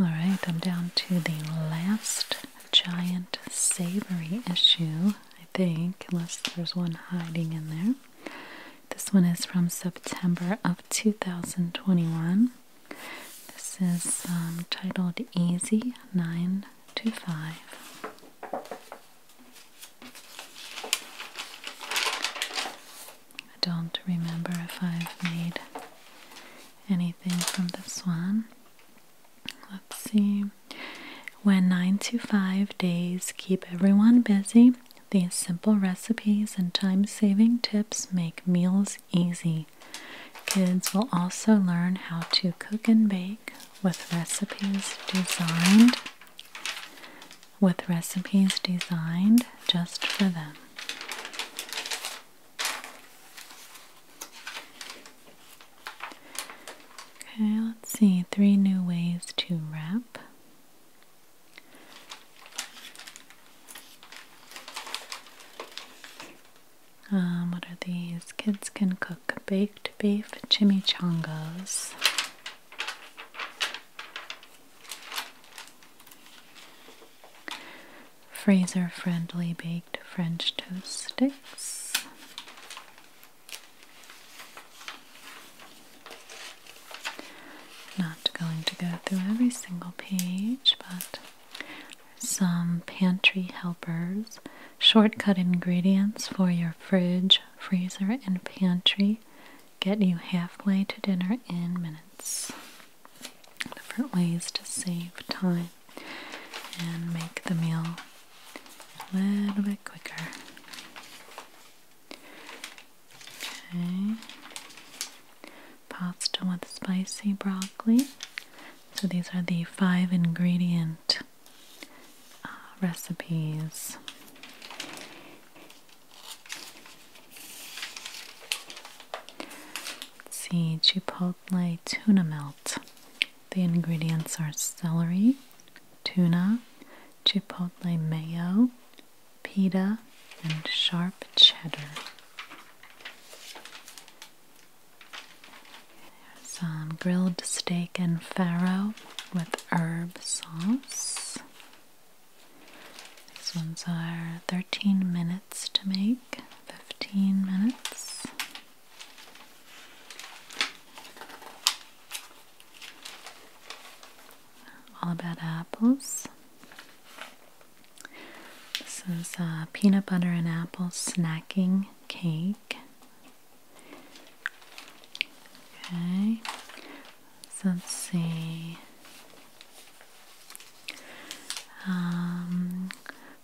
Alright, I'm down to the last giant savory issue, I think, unless there's one hiding in there. This one is from September of 2021. This is um, titled Easy 9 to 5. I don't remember if I've made anything from this one. Let's see. When 9 to 5 days keep everyone busy, these simple recipes and time saving tips make meals easy. Kids will also learn how to cook and bake with recipes designed with recipes designed just for them. Okay, let's see. Three new ways to wrap. Um, what are these? Kids can cook baked beef chimichangas freezer friendly baked French toast sticks. Not going to go through every single page, but some pantry helpers, shortcut ingredients for your fridge, freezer, and pantry. Get you halfway to dinner in minutes different ways to save time and make the meal a little bit quicker. Okay. Pasta with spicy broccoli. So these are the five ingredient uh, recipes let see, chipotle tuna melt. The ingredients are celery, tuna, chipotle mayo, pita, and sharp cheddar. some grilled steak and farro with herb sauce. These ones are 13 minutes to make, 15 minutes. All about apples. This is a uh, peanut butter and apple snacking cake. Okay, let's see. Um,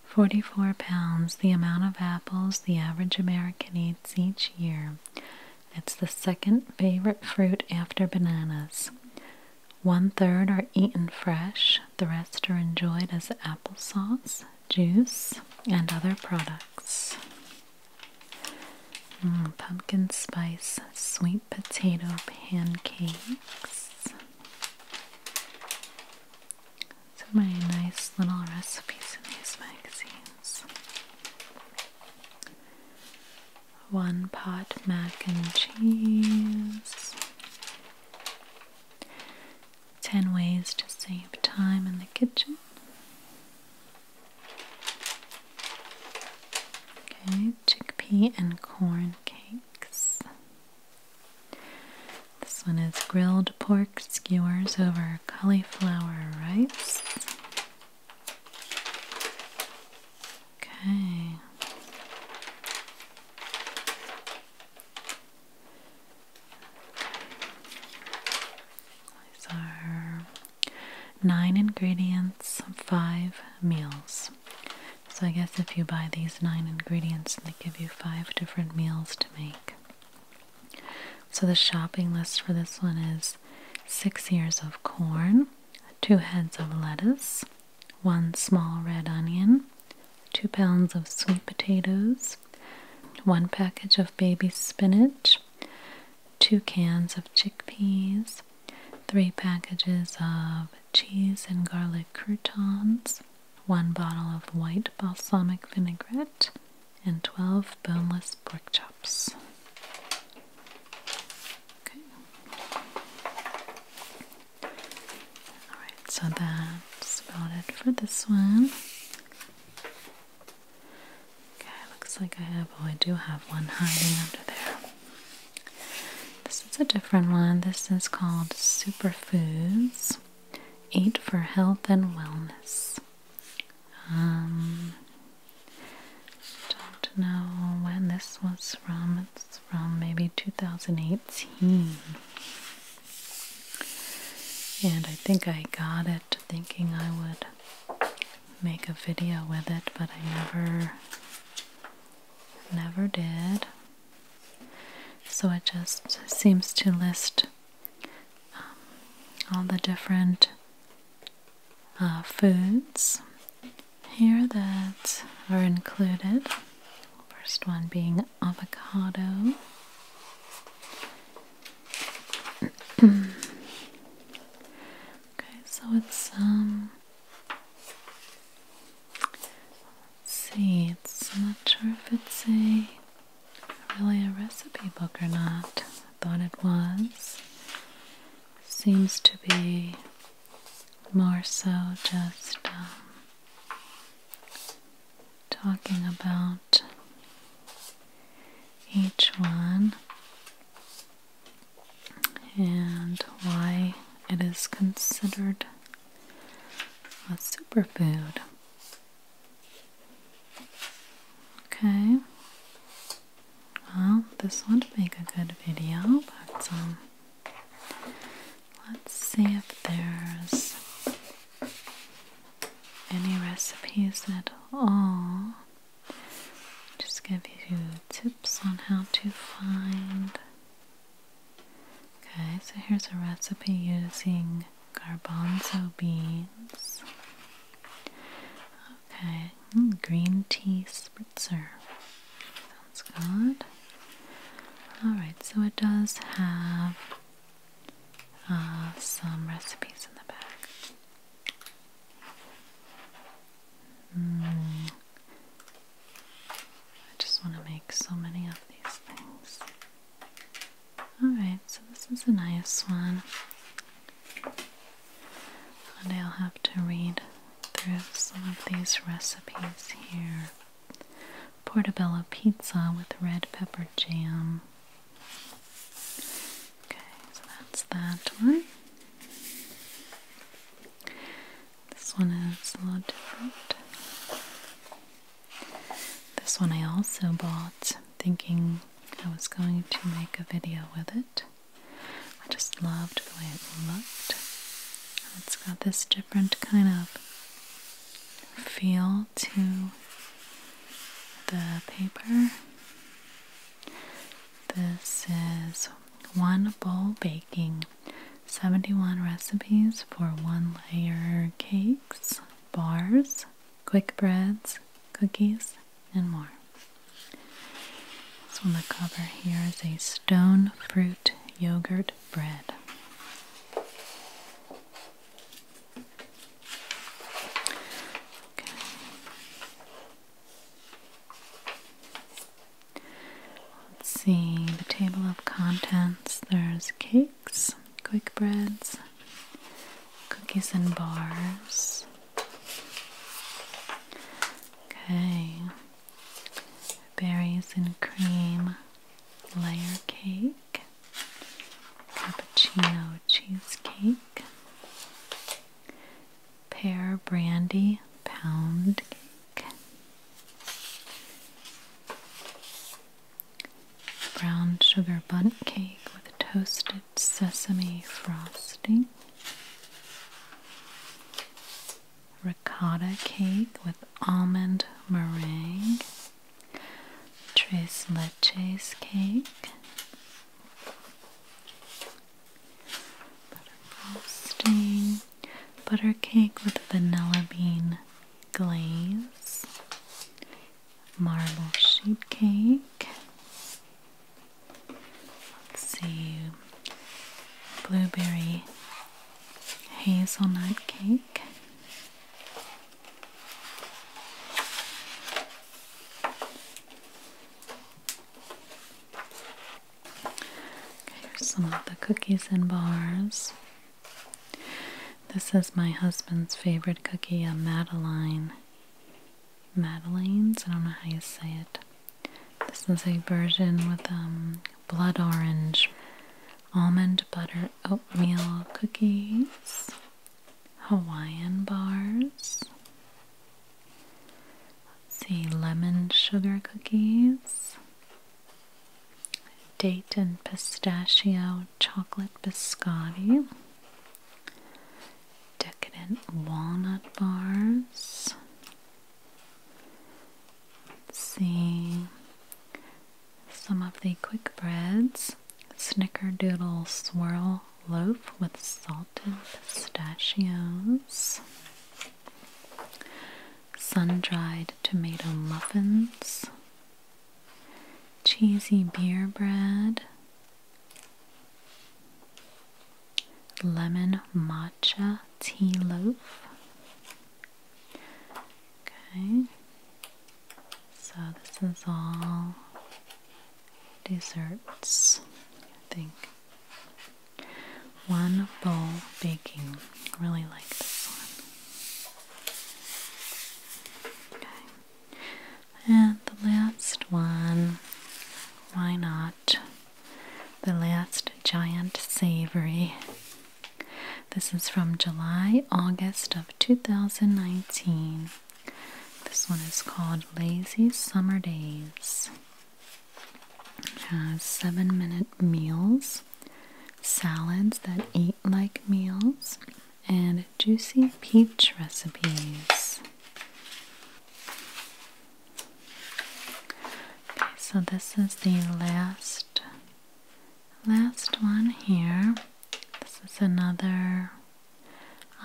44 pounds, the amount of apples the average American eats each year. It's the second favorite fruit after bananas. One third are eaten fresh, the rest are enjoyed as applesauce, juice, and other products. Mm, pumpkin spice sweet potato pancakes. So many nice little recipes in these magazines. One pot mac and cheese. Ten ways to save time in the kitchen. Okay, chickpea and corn cakes. This one is grilled pork skewers over cauliflower rice. Okay. These are nine ingredients, five meals. So I guess if you buy these nine ingredients, they give you five different meals to make. So the shopping list for this one is six ears of corn, two heads of lettuce, one small red onion, two pounds of sweet potatoes, one package of baby spinach, two cans of chickpeas, three packages of cheese and garlic croutons, one bottle of white balsamic vinaigrette, and 12 boneless pork chops. Okay. Alright, so that's about it for this one. Okay, looks like I have, oh, I do have one hiding under there. This is a different one. This is called Superfoods Eat for Health and Wellness. Um, don't know when this was from. It's from maybe 2018. And I think I got it thinking I would make a video with it, but I never never did. So it just seems to list um, all the different uh, foods here that are included. First one being avocado. okay, so it's um Let's see, it's not sure if it's a really a recipe book or not. I thought it was. Seems to be more so just um, talking about each one and why it is considered a superfood. Okay, well, this would make a good video, but um, let's see if there's any recipes at all. Just give you tips on how to find Okay, so here's a recipe using garbanzo beans. Okay, mm, green tea spritzer. Sounds good. Alright, so it does have uh, some recipes in the back. Hmm. I just want to make so many of these things. Alright, so this is a nice one. and I'll have to read through some of these recipes here. Portobello pizza with red pepper jam. Okay, so that's that one. This one is a little different. This one I also bought thinking I was going to make a video with it. I just loved the way it looked. It's got this different kind of feel to the paper. This is one bowl baking 71 recipes for one layer cakes, bars, quick breads, cookies, and more. So on the cover here is a stone fruit yogurt bread. Let's see the table of contents. There's cakes, quick breads, cookies and bars. Okay. Berries and cream layer cake, cappuccino cheesecake, pear brandy pound cake. Brown sugar bundt cake with toasted sesame frosting. Ricotta cake with almond meringue. Tres leches cake. Butter frosting butter cake with vanilla bean glaze, marble sheet cake. Let's see, blueberry hazelnut cake here's some of the cookies and bars. This is my husband's favorite cookie, a Madeline. Madeline's? I don't know how you say it. This is a version with um, blood orange, almond butter, oatmeal cookies, Hawaiian bars. Let's see, lemon sugar cookies, date and pistachio chocolate biscotti, decadent walnut bars. see some of the quick breads snickerdoodle swirl loaf with salted pistachios sun-dried tomato muffins, cheesy beer bread, lemon matcha tea loaf. Okay. So this is all desserts, I think. One bowl baking. Really like this one. And the last one. Why not? The last giant savory. This is from July, August of 2019. This one is called Lazy Summer Days. It uh, has seven minute meals, salads that eat like meals, and juicy peach recipes. Okay, so this is the last last one here. This is another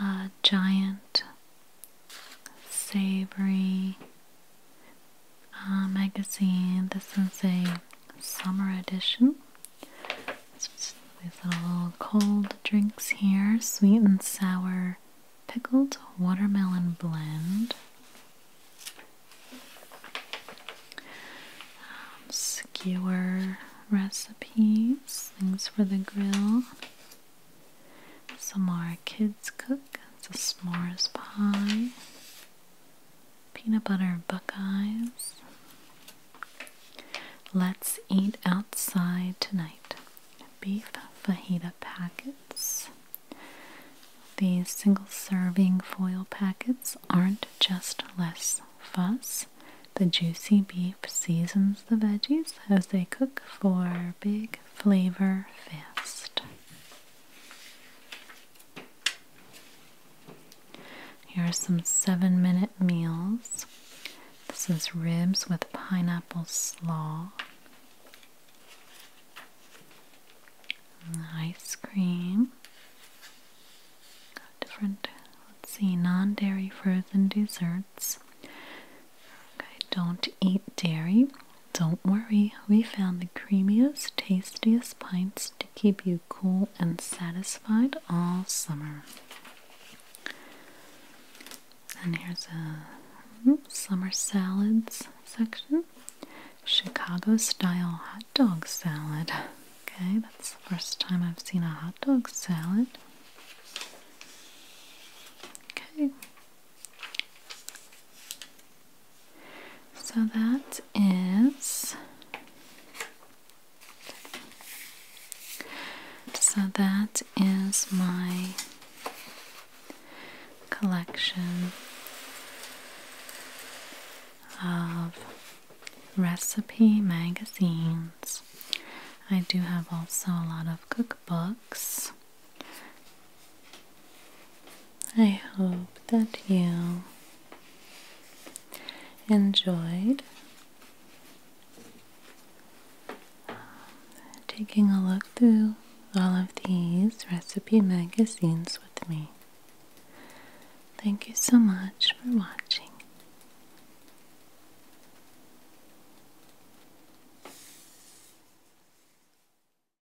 uh, giant savory uh, magazine. This is a summer edition. It's these little cold drinks here sweet and sour pickled watermelon blend. Um, skewer recipes, things for the grill. Some more Kids Cook, it's a s'mores pie. Peanut butter Buckeyes. Let's eat outside tonight. Beef fajita packets. These single serving foil packets aren't just less fuss. The juicy beef seasons the veggies as they cook for big flavor fest. Here are some seven minute meals. This is ribs with pineapple slaw, ice cream, different, let's see, non dairy frozen desserts. Okay, don't eat dairy. Don't worry, we found the creamiest, tastiest pints to keep you cool and satisfied all summer. And here's a mm, summer salads section. Chicago style hot dog salad. Okay, that's the first time I've seen a hot dog salad. Okay, so that is so that is my collection of recipe magazines. I do have also a lot of cookbooks I hope that you enjoyed taking a look through all of these recipe magazines with me. Thank you so much for watching.